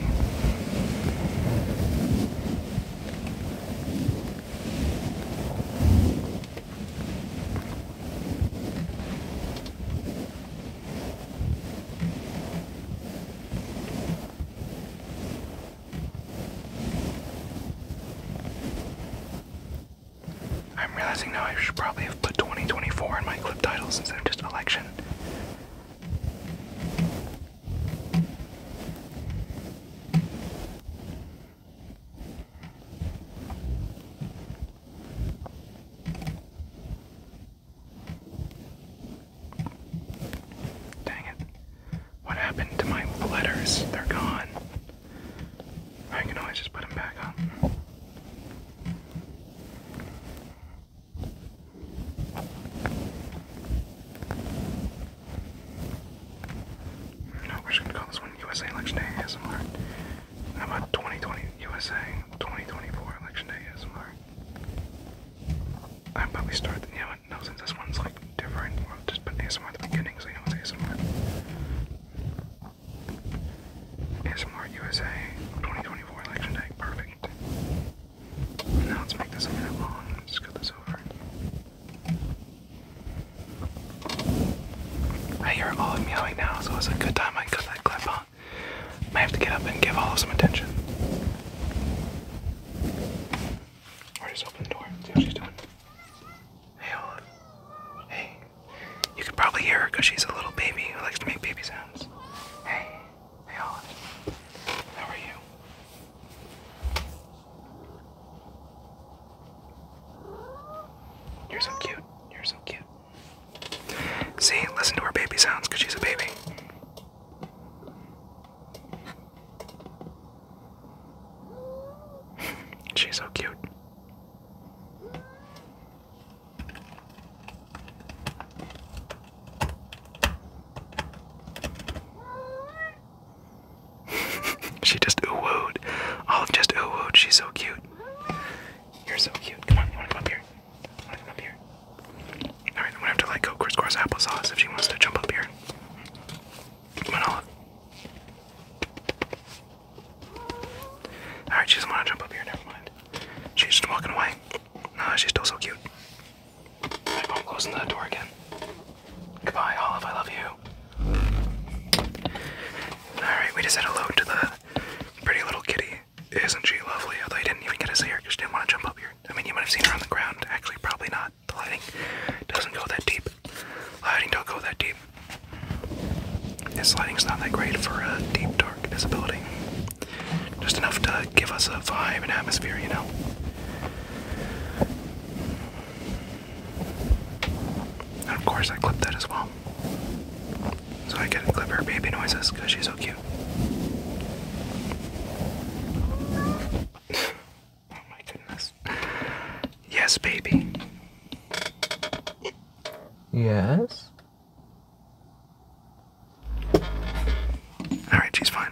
I'm realizing now I should probably have put 2024 in my clip titles instead of just election. Dang it. What happened to my letters? They're gone. I can always just put them back on. No, we're just gonna call this one USA Election Day ASMR. How about 2020 USA 2024 Election Day ASMR? I probably start. The, you know what? No, since this one's like different. Well, just put ASMR at the beginning so USA 2024 election day. Perfect. Now let's make this a minute long. Let's cut this over. I hear all of meowing now, so it's a good time I cut that clip, huh? I have to get up and give all of some attention. Or just open the door see how she's doing. Hey, You can probably hear her because she's a little baby who likes to make baby sounds. Hey. Hey, How are you? You're so cute. You're so cute. See, listen to her baby sounds because she's a baby. <laughs> She's so cute. <laughs> she just wooed Olive oh, just wooed She's so cute. You're so cute. Come on, you wanna come up here? wanna come up here? Alright, I'm gonna have to let go crisscross applesauce if she wants to jump up here. Alright, she doesn't want to jump up here, never mind. She's just walking away. Ah, she's still so cute. I'm closing the door again. Goodbye, Olive, I love you. Alright, we just said hello to the pretty little kitty. Isn't she lovely? Although I didn't even get to see her because she didn't want to jump up here. I mean, you might have seen her on the ground. Actually, probably not. The lighting doesn't go that deep. Lighting don't go that deep. This lighting's not that great for a deep dark visibility. Just enough to give us a vibe and atmosphere, you know. of course I clipped that as well. So I get to clip her baby noises because she's so cute. Oh my goodness. Yes, baby. Yes. All right, she's fine.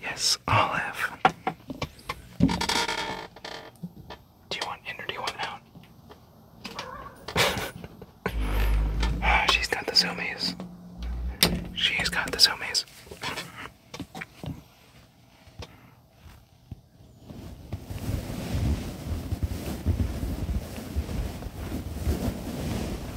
Yes, olive. Do you want in or do you want out? <laughs> she's got the zoomies. She's got the zoomies.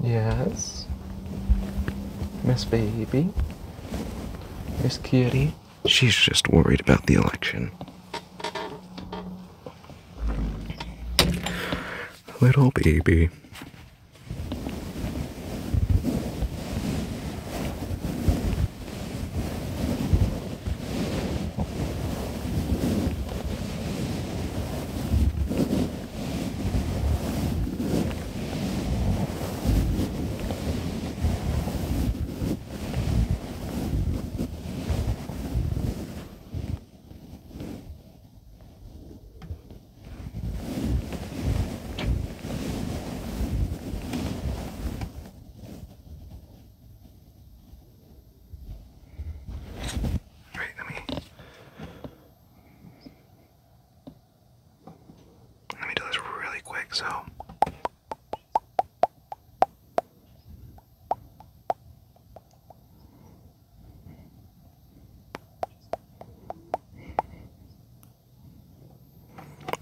Yes. Miss Baby. Miss Kitty. She's just worried about the election. Little baby. All right, let me let me do this really quick, so.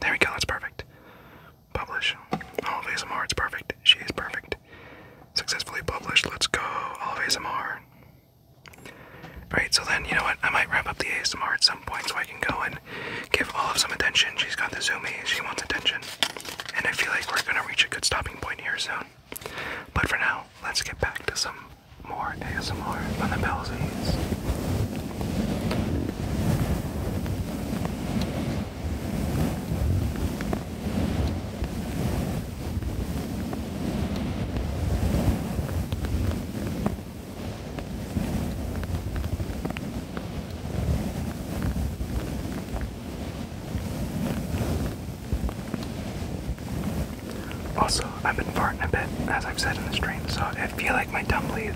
There we go, that's perfect. Publish. All of ASMR, it's perfect. She is perfect. Successfully published, let's go. All of ASMR. Right, so then, you know what? I might wrap up the ASMR at some point so I can go and give all of some attention. She's got the zoomies, she wants attention. And I feel like we're gonna reach a good stopping point here soon. But for now, let's get back to some more ASMR on the pelvises. Also, I've been farting a bit, as I've said in the stream, so I feel like my tumbly,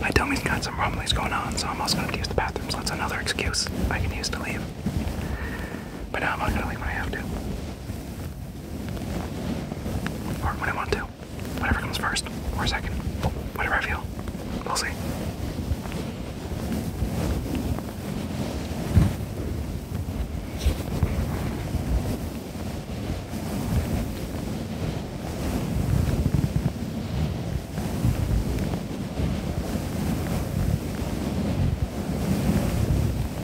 my tummy's got some rumblies going on, so I'm also going to use the bathroom, so that's another excuse I can use to leave. But now I'm not gonna leave when I have to. Or when I want to. Whatever comes first, or second. Whatever I feel. We'll see.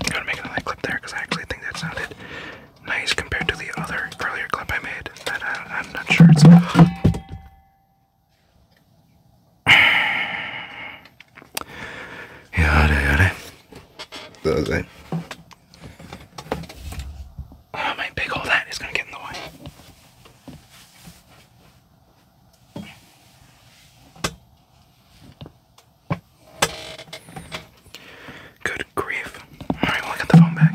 I'm gonna make another clip there because I actually think that sounded nice compared to the other earlier clip I made that uh, I'm not sure it's. Jare, jare. Does it? Oh, Good grief. Alright, well, I got the phone back.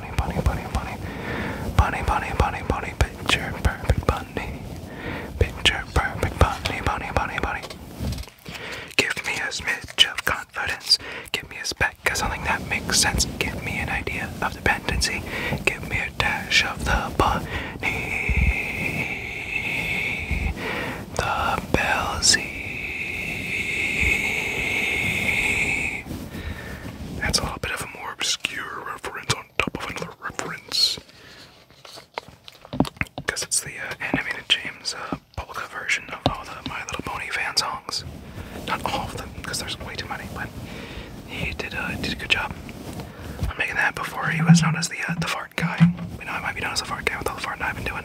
bunny, bunny, bunny, bunny, bunny, bunny, bunny, bunny, picture perfect bunny, picture perfect bunny, bunny, bunny, bunny. Give me a smidge of confidence, give me a speck of something that makes sense, give me an idea of dependency, give me a dash of the bunny, the bellsy. That's a little bit of a more obscure reference on top of another reference. Because it's the uh, animated James uh, version of all the My Little Pony fan songs. Not all of them, because there's way too many, but he did, uh, did a good job on making that before he was known as the, uh, the fart guy. But now I might be known as the fart guy with all the farting I've been doing.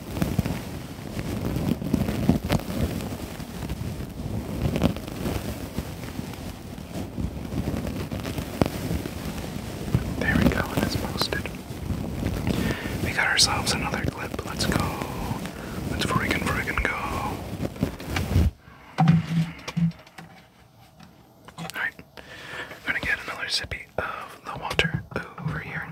There we go, and it's posted. We got ourselves another clip. Let's go. Let's friggin' friggin' go. Alright. I'm gonna get another sippy of the water over here.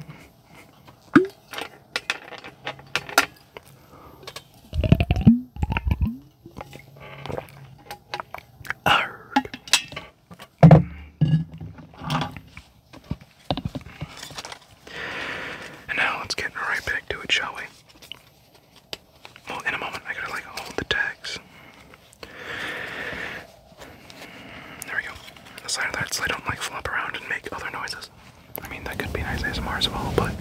And now let's get right back to it, shall we? Well, in a moment, I gotta like hold the tags. There we go. The side of that so they don't like flop around and make other noises. I mean, that could be nice ASMR as well, but.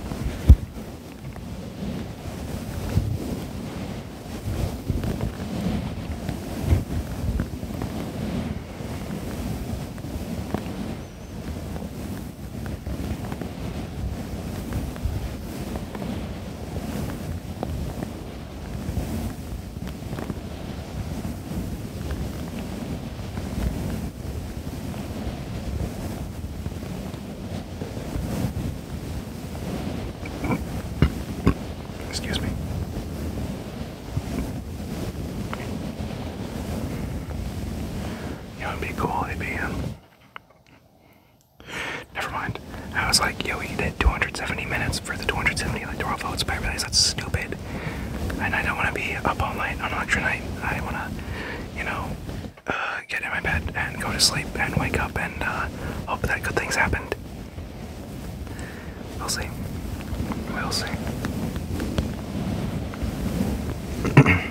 Excuse me. You be cool if um, Never mind. I was like, yo, we did 270 minutes for the 270, electoral votes, but I realized that's stupid and I don't want to be up all night on Electro Night. I want to, you know, uh, get in my bed and go to sleep and wake up and uh, hope that good things happened. We'll see. We'll see. <clears throat>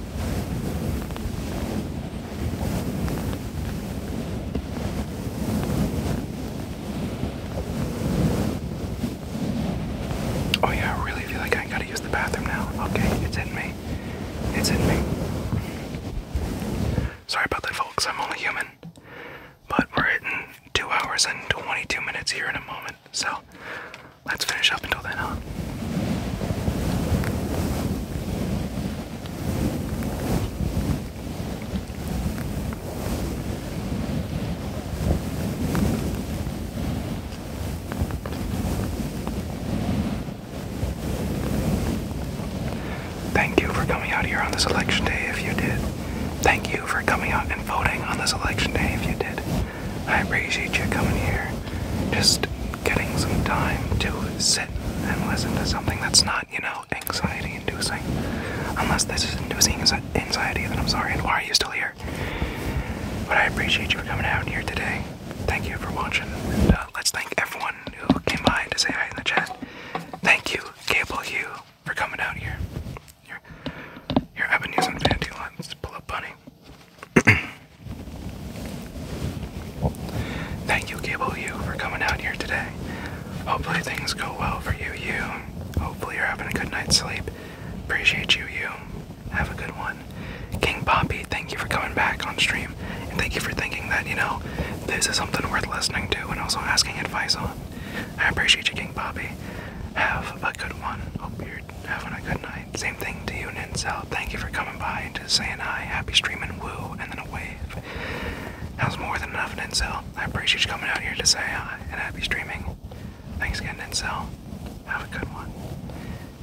Oh, yeah, I really feel like I gotta use the bathroom now. Okay, it's in me. It's in me. Sorry about that, folks. I'm only human. But we're hitting two hours and 22 minutes here in a moment. So let's finish up until then, huh? Thank you for coming out here on this election day if you did. Thank you for coming out and voting on this election day if you did. I appreciate you coming here. Just getting some time to sit and listen to something that's not, you know, anxiety inducing. Unless this is inducing anxiety, then I'm sorry. And why are you still here? But I appreciate you for coming out here today. Thank you for watching. And, uh, let's thank everyone who came by to say hi in the chat. Thank you, Cable Hugh, for coming out here. Here, here I've been using Panty to pull up Bunny. <coughs> Thank you, Gable You, for coming out here today. Hopefully things go well for you, you. Hopefully you're having a good night's sleep. Appreciate you, you. Have a good one. King Bobby. thank you for coming back on stream. thank you for thinking that, you know, this is something worth listening to and also asking advice on. I appreciate you, King Bobby. Have a good one. Hope you're having a good night. Same thing to you, Nincel. Thank you for coming by to say hi. Happy streaming, woo, and then a wave. That was more than enough, Nincel. I appreciate you coming out here to say hi and happy streaming. Thanks again, Nincel. Have a good one.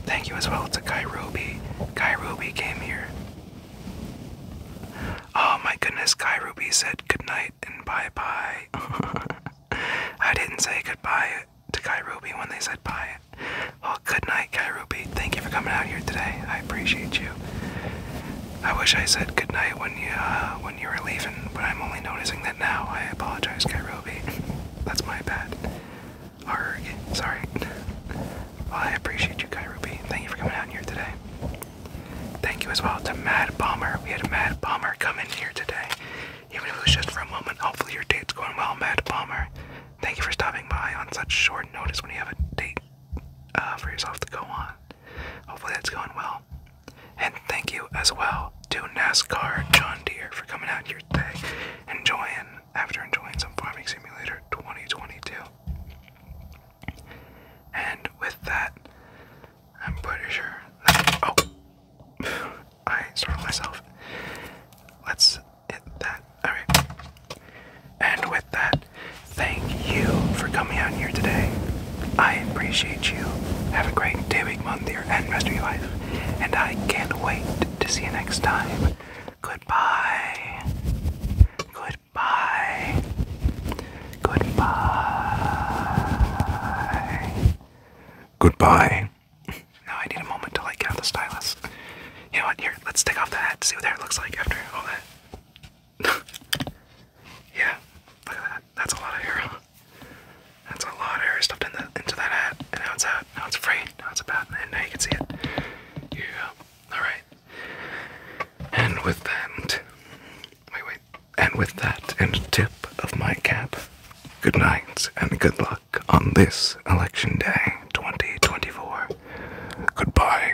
Thank you as well to Guy Ruby. Guy Ruby came here. Oh my goodness, Guy Ruby said goodnight and bye bye. <laughs> I didn't say goodbye to Kai Ruby, when they said bye, it. Well, good night, Kai Ruby. Thank you for coming out here today. I appreciate you. I wish I said good night when you uh, when you were leaving, but I'm only noticing that now. I apologize, Kai Ruby. <laughs> That's my bad. Arg, sorry. Well, I appreciate you, Kai Ruby. Thank you for coming out here today. Thank you as well to Mad Bomber. We had a Mad Bomber come in here today. Even if it was just for a moment, hopefully your date's going well, Matt Palmer. Thank you for stopping by on such short notice when you have a date uh, for yourself to go on. Hopefully that's going well. And thank you as well to NASCAR John Deere for coming out your day, enjoying, after enjoying some Farming Simulator 2022. And with that, I'm pretty sure that, oh, <sighs> I startled myself. Let's that. All right. And with that, thank you for coming out here today. I appreciate you. Have a great day, week, month, year, and rest of your life. And I can't wait to see you next time. Goodbye. Goodbye. Goodbye. Goodbye. Um, no, I need a moment to like count the stylus. You know what? Here, let's take off the hat to see what that looks like after all that. <laughs> yeah, look at that. That's a lot of hair. That's a lot of hair stuffed into that hat, and now it's out. Now it's free. Now it's about, and now you can see it. Yeah. All right. And with that, wait, wait. And with that, and tip of my cap. Good night and good luck on this election day 2024. Goodbye.